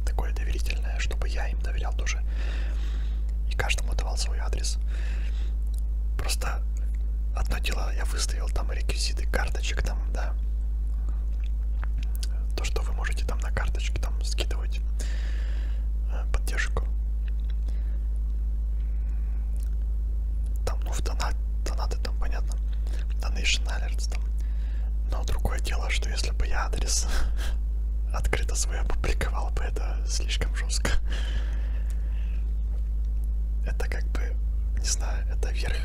такое доверительное, чтобы я им доверял тоже. И каждому давал свой адрес. Просто одно дело, я выставил там реквизиты карточек там, да, то, что вы можете там на карточке там скидывать э, поддержку. Там, ну, в донат, донаты там, понятно, Donation Alerts там. Но другое дело, что если бы я адрес <laughs> открыто свой опубликовал бы, это слишком жестко. Это как бы, не знаю, это верх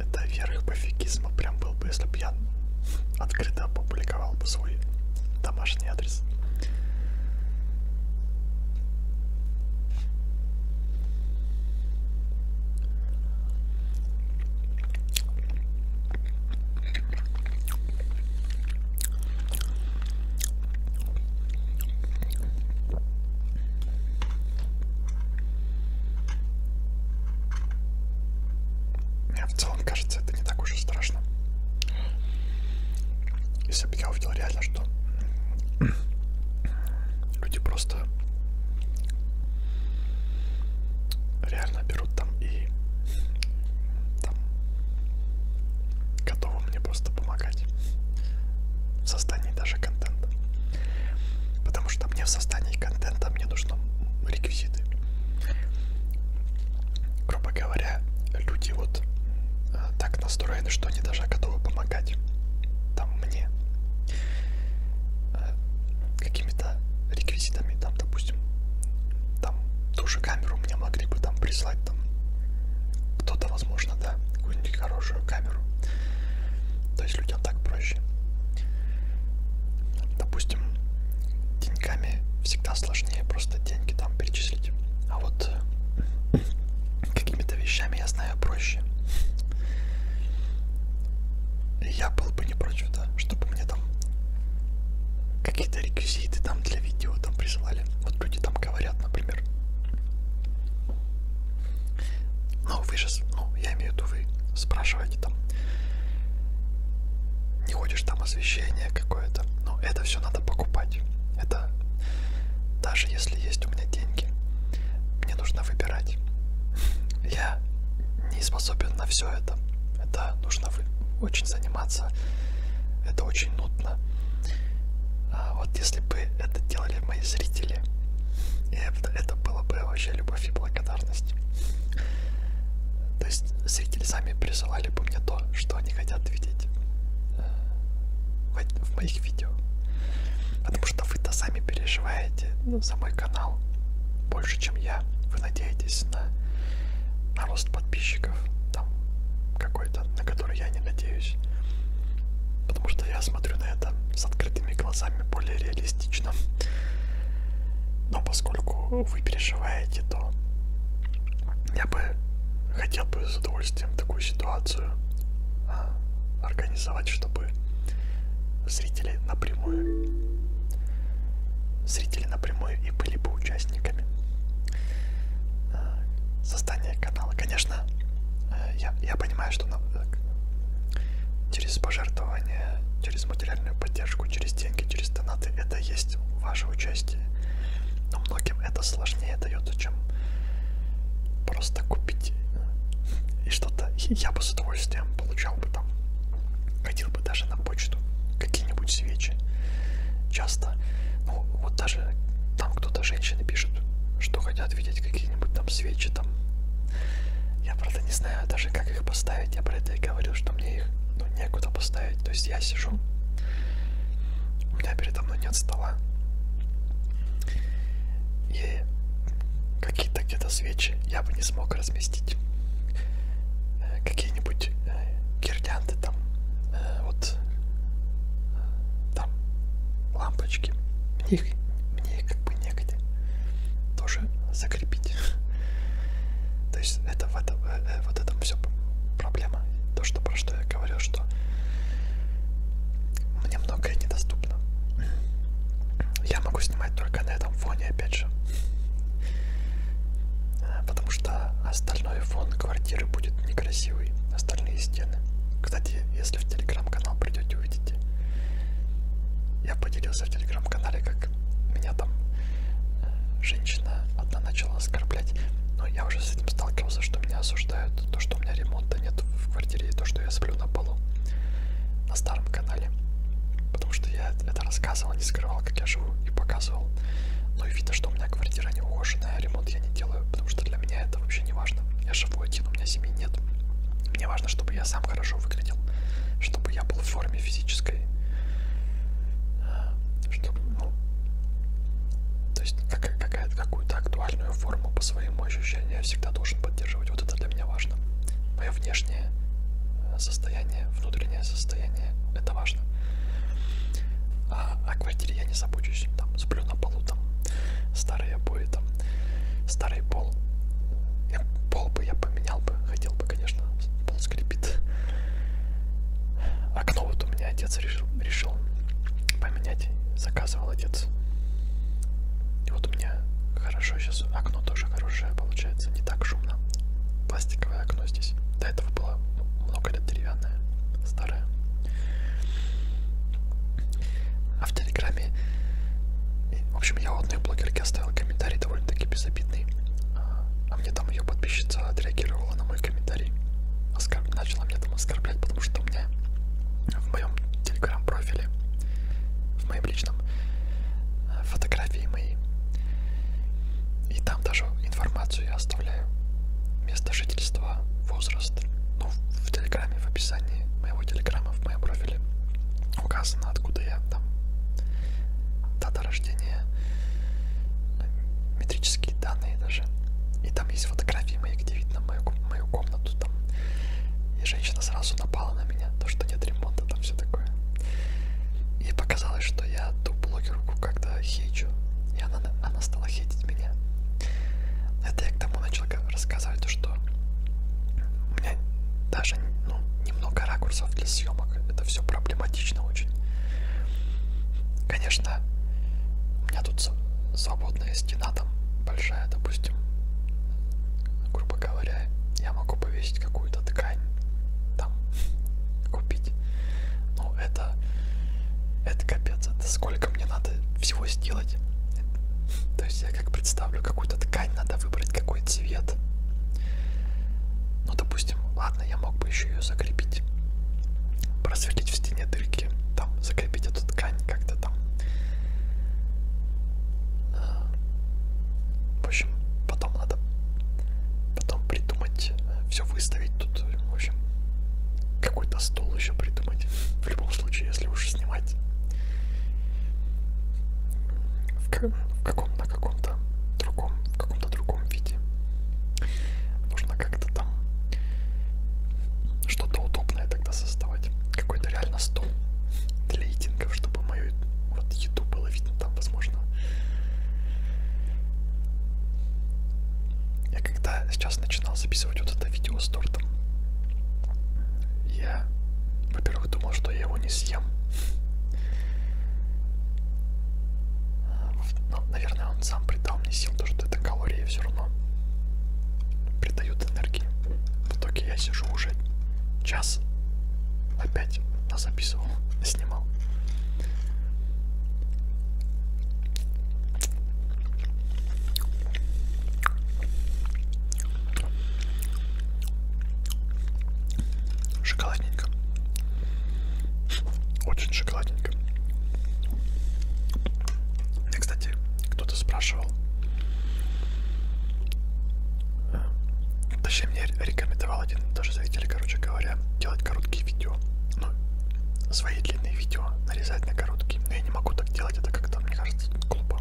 это верх пофигизма прям был бы, если бы я открыто опубликовал бы свой домашний адрес. Мне в целом кажется, это не так уж и страшно. Если бы я увидел реально, что люди просто реально берут там и там готовы мне просто помогать в создании даже контента. Потому что мне в создании контента мне нужны реквизиты. Грубо говоря, люди вот э, так настроены, что они даже готовы помогать там мне э, какими-то реквизитами, там, допустим, там ту же камеру мне могли бы там прислать, там кто-то, возможно, да, какую-нибудь хорошую камеру. То есть людям так проще. Допустим, деньгами всегда сложнее просто деньги там перечислить. А вот э, какими-то вещами я знаю проще. И я был бы не против, да, чтобы мне там какие-то реквизиты там для видео там присылали. Вот люди там говорят, например. Ну, вы же, ну, я имею в виду, вы спрашиваете там, не хочешь там освещение какое-то, но это все надо покупать. Это даже если есть у меня деньги, мне нужно выбирать. Я не способен на все это. Это нужно очень заниматься. Это очень нудно. А вот если бы это делали мои зрители, и это, это было бы вообще любовь и благодарность. То есть зрители сами присылали бы мне то, что они хотят видеть э, в моих видео. Потому что вы-то сами переживаете ну, за мой канал больше, чем я. Вы надеетесь на, на рост подписчиков, там какой-то, на который я не надеюсь. Потому что я смотрю на это с открытыми глазами более реалистично фантастично. Но поскольку вы переживаете, то я бы хотел бы с удовольствием такую ситуацию а, организовать, чтобы зрители напрямую зрители напрямую и были бы участниками а, создания канала. Конечно, э, я, я понимаю, что на, э, через пожертвования, через материальную поддержку, через деньги, через донаты. Это есть ваше участие. Но многим это сложнее дается, чем просто купить и что-то. Я бы с удовольствием получал бы там, ходил бы даже на почту, какие-нибудь свечи. Часто, ну вот даже там кто-то женщины пишет, что хотят видеть какие-нибудь там свечи, там я, правда, не знаю даже, как их поставить. Я про это и говорил, что мне их ну, некуда поставить. То есть я сижу, у меня передо мной нет стола. И какие-то где-то свечи я бы не смог разместить. Э, какие-нибудь э, гирлянды там, э, вот там лампочки. Их мне их как бы негде тоже закрепить. <laughs> То есть это в этом, э, э, вот этом все проблема. То, что про что я говорил, что мне многое недоступно. <clears throat> Я могу снимать только на этом фоне, опять же. Э, потому что остальной фон квартиры будет некрасивый, остальные стены. Кстати, если в телеграм-канал придете, увидите. Я поделился в телеграм-канале, как меня там э, женщина одна начала оскорблять. Но я уже с этим сталкивался, что меня осуждают. То, что у меня ремонта нет в квартире, и то, что я сплю на полу на старом канале. Потому что я это рассказывал, не скрывал, как я живу и показывал. Но ну и видно, что у меня квартира не ухоженная, а ремонт я не делаю, потому что для меня это вообще не важно. Я животин, у меня семьи нет. Мне важно, чтобы я сам хорошо выглядел, чтобы я был в форме физической, э, чтобы, ну, то есть как, какая-то какую-то актуальную форму по своему ощущению я всегда должен поддерживать. Вот это для меня важно. Мое внешнее э, состояние, внутреннее состояние, это важно. А о а квартире я не забочусь, там сплю на полу, там старые обои, там старый пол. Я, пол бы я поменял бы, хотел бы, конечно, пол скрипит. Окно вот у меня отец решил, решил поменять, заказывал отец. И вот у меня хорошо сейчас окно тоже хорошее получается, не так шумно. Пластиковое окно здесь. До этого было много лет деревянное, старое а в Телеграме, в общем, я у одной блогерки оставил комментарий довольно-таки безобидный, а, а мне там ее подписчица отреагировала на мой комментарий, Оскорб... начала меня там оскорблять, потому что у меня в моем Телеграм-профиле, в моем личном, э, фотографии мои, и там даже информацию я оставляю, место жительства, возраст, ну, в Телеграме, в описании моего Телеграма, в моем профиле указано, откуда я, там, дата рождения, метрические данные даже. И там есть фотографии мои, где видно мою, мою комнату там. И женщина сразу напала на меня, то, что нет ремонта, там все такое. И показалось, что я ту блогерку как-то хейчу. И она, она стала хейтить меня. Это я к тому, человеком рассказать, что у меня даже ну, немного ракурсов для съемок. Это все проблематично очень. Конечно, у меня тут свободная стена там большая, допустим. Грубо говоря, я могу повесить какую-то ткань там <laughs> купить. Ну, это, это капец, это сколько мне надо всего сделать. <laughs> То есть я как представлю какую-то ткань, надо выбрать какой цвет. Ну, допустим, ладно, я мог бы еще ее закрепить, просверлить в стене дырки, там закрепить эту ткань как-то там. Э, в общем, потом надо потом придумать, э, все выставить тут, в общем, какой-то стол еще придумать. В любом случае, если уж снимать в, в каком на каком-то другом в каком-то другом виде нужно как-то там что-то удобное тогда создавать какой-то реально стол для едингов чтобы мою вот еду было видно там возможно я когда сейчас начинал записывать вот это видео с тортом я во во-первых, думал, что я его не съем. Но, наверное, он сам придал мне сил, то что это калории все равно придают энергии. В итоге я сижу уже час опять записывал, <laughs> снимал. Шоколадненько. Очень шоколадненько. Мне, кстати, кто-то спрашивал. Э, точнее, мне рекомендовал один даже зритель, короче говоря, делать короткие видео. Ну, свои длинные видео нарезать на короткие. Но я не могу так делать, это как-то, мне кажется, глупо.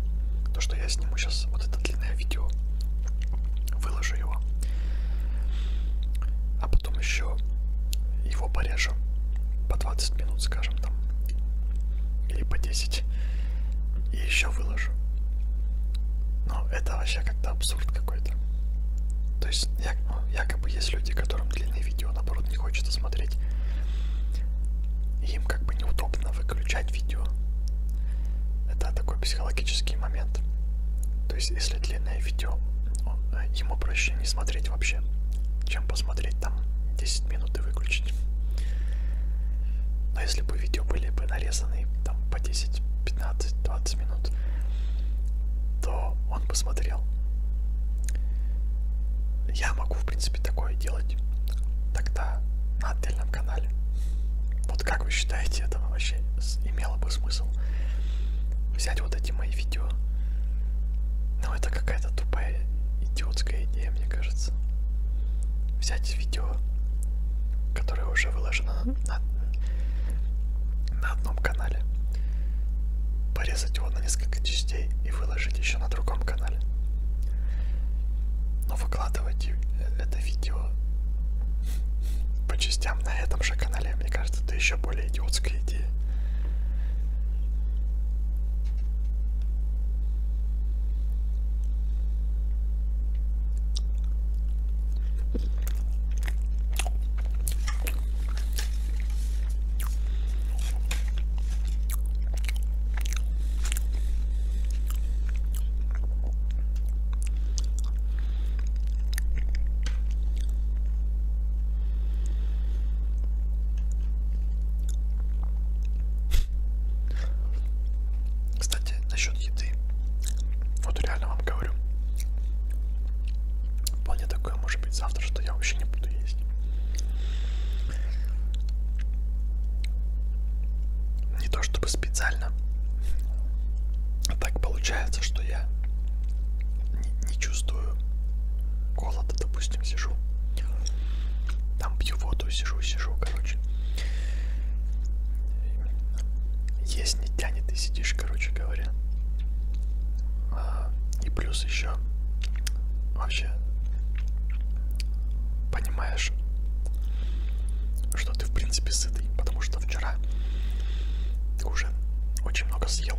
То, что я сниму сейчас вот это длинное длинное видео. Выложу его. А потом еще его порежу. По 20 минут, скажем там. Или по 10. И еще выложу. Но это вообще как-то абсурд какой-то. То есть ну, якобы есть люди, которым длинные видео наоборот не хочется смотреть. И им как бы неудобно выключать снять видео. Это такой психологический момент. То есть, если длинное видео, он, э, ему проще не смотреть вообще, чем посмотреть там 10 минут и выключить. Но если бы видео были бы нарезаны там по 10, 15, 20 минут, то он посмотрел. Я могу, в принципе, такое делать. Тогда надо федеральном канале. Вот как вы считаете, это вообще имело бы смысл взять вот эти мои видео? Ну это какая-то тупая идиотская идея, мне кажется. Взять видео, которое уже выложено на, на одном канале, порезать его на несколько частей и выложить еще на другом канале. Но выкладывать это видео по частям на этом же канале, мне кажется, это еще более идиотская идея. Кстати, насчет еды. Вот реально вам говорю. Вполне такое может быть завтра, что я вообще не буду есть не то чтобы специально, а так получается, что я не, не чувствую голода, допустим, сижу, там пью воду, сижу, сижу, короче. Есть не тянет и сидишь, короче говоря. А, и плюс еще вообще понимаешь, что ты в принципе сытый, потому что вчера ты уже очень много съел.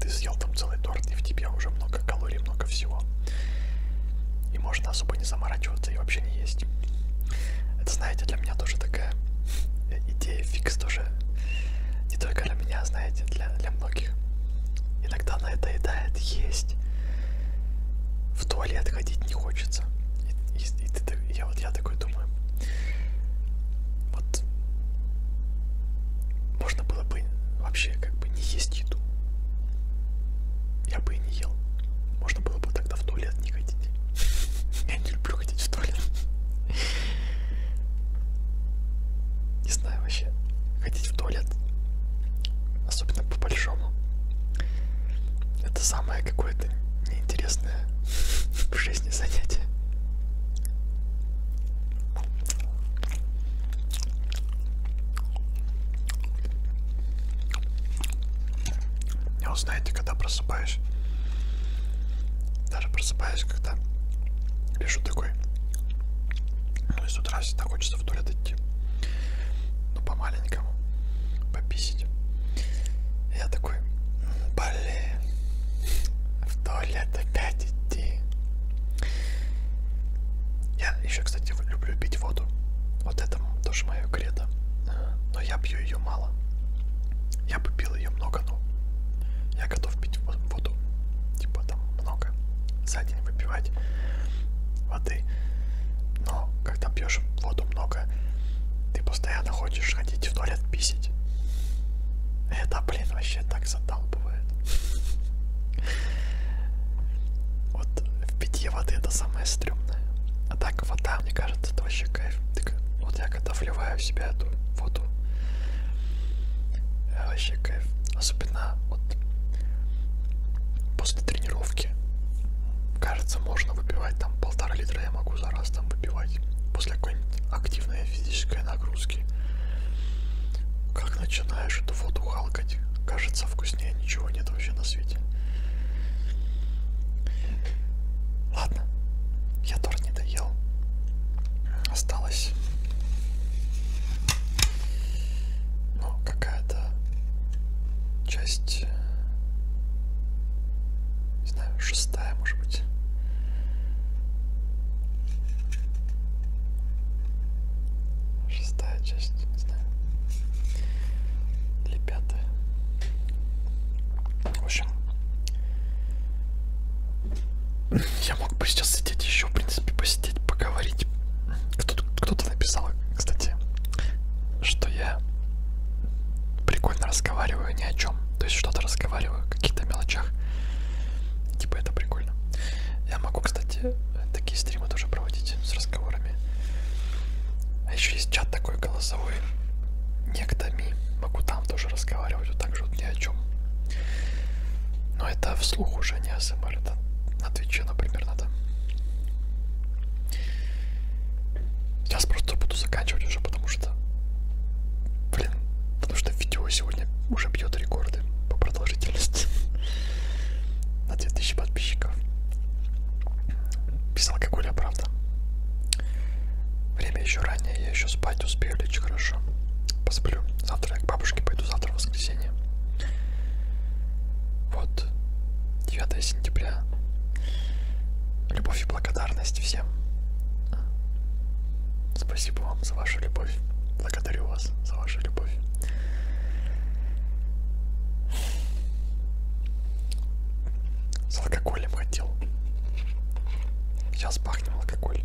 Ты съел там целый торт, и в тебе уже много калорий, много всего. И можно особо не заморачиваться и вообще не есть. Это, знаете, для меня тоже такая идея фикс тоже. Не только для меня, знаете, для, для многих. Иногда она это доедает есть в туалет ходить не хочется. И, и, и ты, я вот я такой думаю, вот можно было бы вообще как бы не есть еду. Я бы и не ел. Можно было бы тогда в туалет не ходить. <laughs> Я не люблю ходить в туалет. Не знаю вообще. Ходить в туалет особенно по большому. Это самое какое-то неинтересное <laughs> в жизни занятие. Я вот знаете, когда просыпаюсь, даже просыпаюсь, когда лежу такой, ну и с утра всегда хочется в туалет идти ну по-маленькому, пописить. Я такой, блин, в туалет опять идти. Я еще, кстати, люблю пить воду. Вот это тоже мое кредо. Э, но я пью ее мало. Я бы пил ее много, но я готов пить воду. Типа там много. За день выпивать воды. Но когда пьешь воду много, ты постоянно хочешь ходить в туалет писить. Это, блин, вообще так задалбывает. Вот в питье воды это самое стрёмное. А так вода, мне кажется, это вообще кайф. Так, вот я когда вливаю в себя эту воду, вообще кайф. Особенно вот после тренировки кажется, можно выпивать там полтора литра я могу за раз там выпивать после какой-нибудь активной физической нагрузки. Как начинаешь эту воду халкать, кажется вкуснее ничего нет вообще на свете. Ладно, я торт не доел. Осталось ну, какая-то часть, не знаю, шестая, может быть. Шестая часть, не знаю, или пятая. В общем, я мог бы сейчас сидеть еще, в принципе, посидеть, поговорить. Кто-то кто написал заметила, кстати, что я прикольно разговариваю ни о чем. То есть что-то разговариваю о каких-то мелочах. Типа это прикольно. Я могу, кстати, такие стримы тоже проводить с разговорами. А еще есть чат такой голосовой. Некто ми. Могу там тоже разговаривать, вот так же вот ни о чем. Но это вслух уже не АСМР, это на Твиче, например, надо. Сейчас просто буду заканчивать уже, потому что, блин, потому что видео сегодня уже бьет рекорды по продолжительности <laughs> на 2000 подписчиков. Без алкоголя, правда. Время еще раннее, я еще спать успею лечь хорошо. Посплю. Завтра я к бабушке пойду, завтра в воскресенье. Вот, 9 сентября. Любовь и благодарность всем. Спасибо вам за вашу любовь. Благодарю вас за вашу любовь. С алкоголем хотел. Сейчас пахнем алкоголь.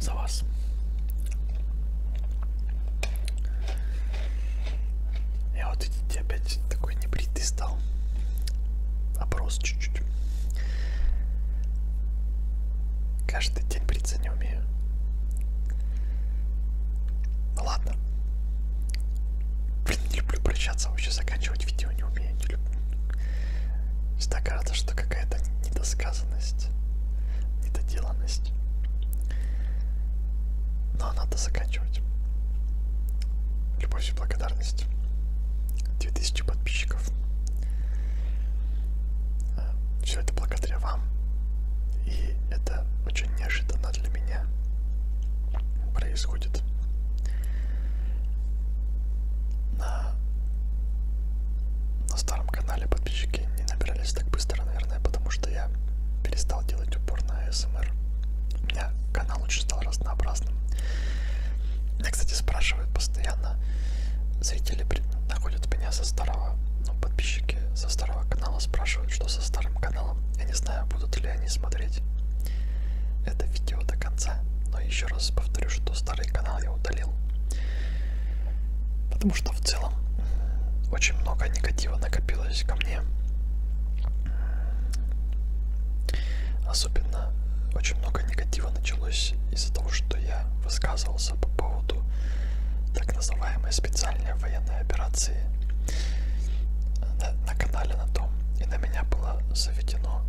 За вас. Я вот видите, опять такой небритый стал. Опрос чуть-чуть. Каждый день бриться не умею. Ну ладно. Блин, не люблю прощаться, вообще заканчивать видео не умею, не люблю. Всегда кажется, что какая-то недосказанность, недоделанность. Но надо заканчивать. Любовь и благодарность. 2000 подписчиков. Э, Все это благодаря вам. И это очень неожиданно для меня происходит на, на старом канале подписчики не набирались так быстро, наверное, потому что я перестал делать упор на СМР. У меня канал очень стал разнообразным. Меня, кстати, спрашивают постоянно, зрители находят меня со старого, ну, подписчики со старого канала спрашивают, что со старым каналом. Я не знаю, будут ли они смотреть это видео до конца. Но еще раз повторю, что старый канал я удалил. Потому что в целом очень много негатива накопилось ко мне. Особенно очень много негатива началось из-за того, что я высказывался по поводу так называемой специальной военной операции на, на канале на том, и на меня было заведено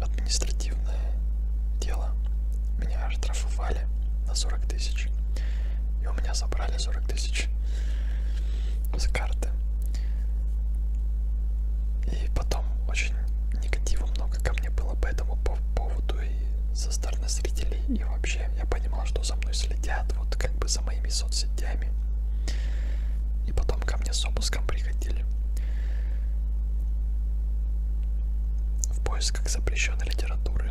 административное дело. Меня оштрафовали на 40 тысяч. И у меня забрали 40 тысяч с карты. И потом очень негатива много ко мне было по этому поводу и со стороны зрителей. И вообще я понимал, что за мной следят, вот как бы за моими соцсетями. И потом потом ко мне с обыском приходили. В поисках запрещенной литературы.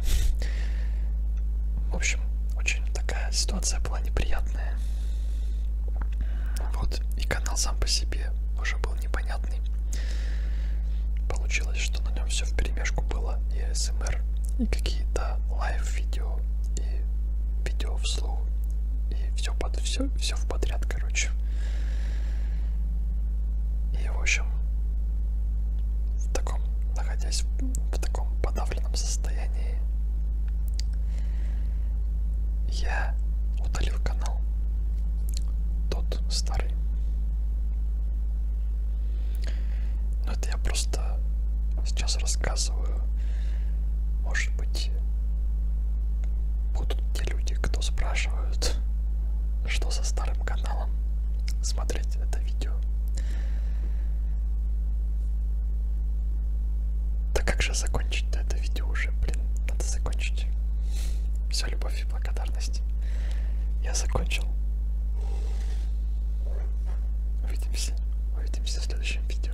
В общем, очень такая ситуация была неприятная. Вот, и канал сам по себе уже был непонятный. Получилось, что на нем все в перемешку было. И СМР, и какие-то лайв-видео, и видео вслух, и все под все, все часов подряд, короче. И, в общем, в таком, находясь в таком подавленном состоянии, я удалил канал, тот старый. Но это я просто сейчас рассказываю, может, быть, будут те люди, кто спрашивают, что со старым каналом, смотреть это видео. Да как же закончить-то это видео уже, блин, надо закончить. Все, любовь и благодарность. Я закончил. Увидимся. Увидимся в следующем видео.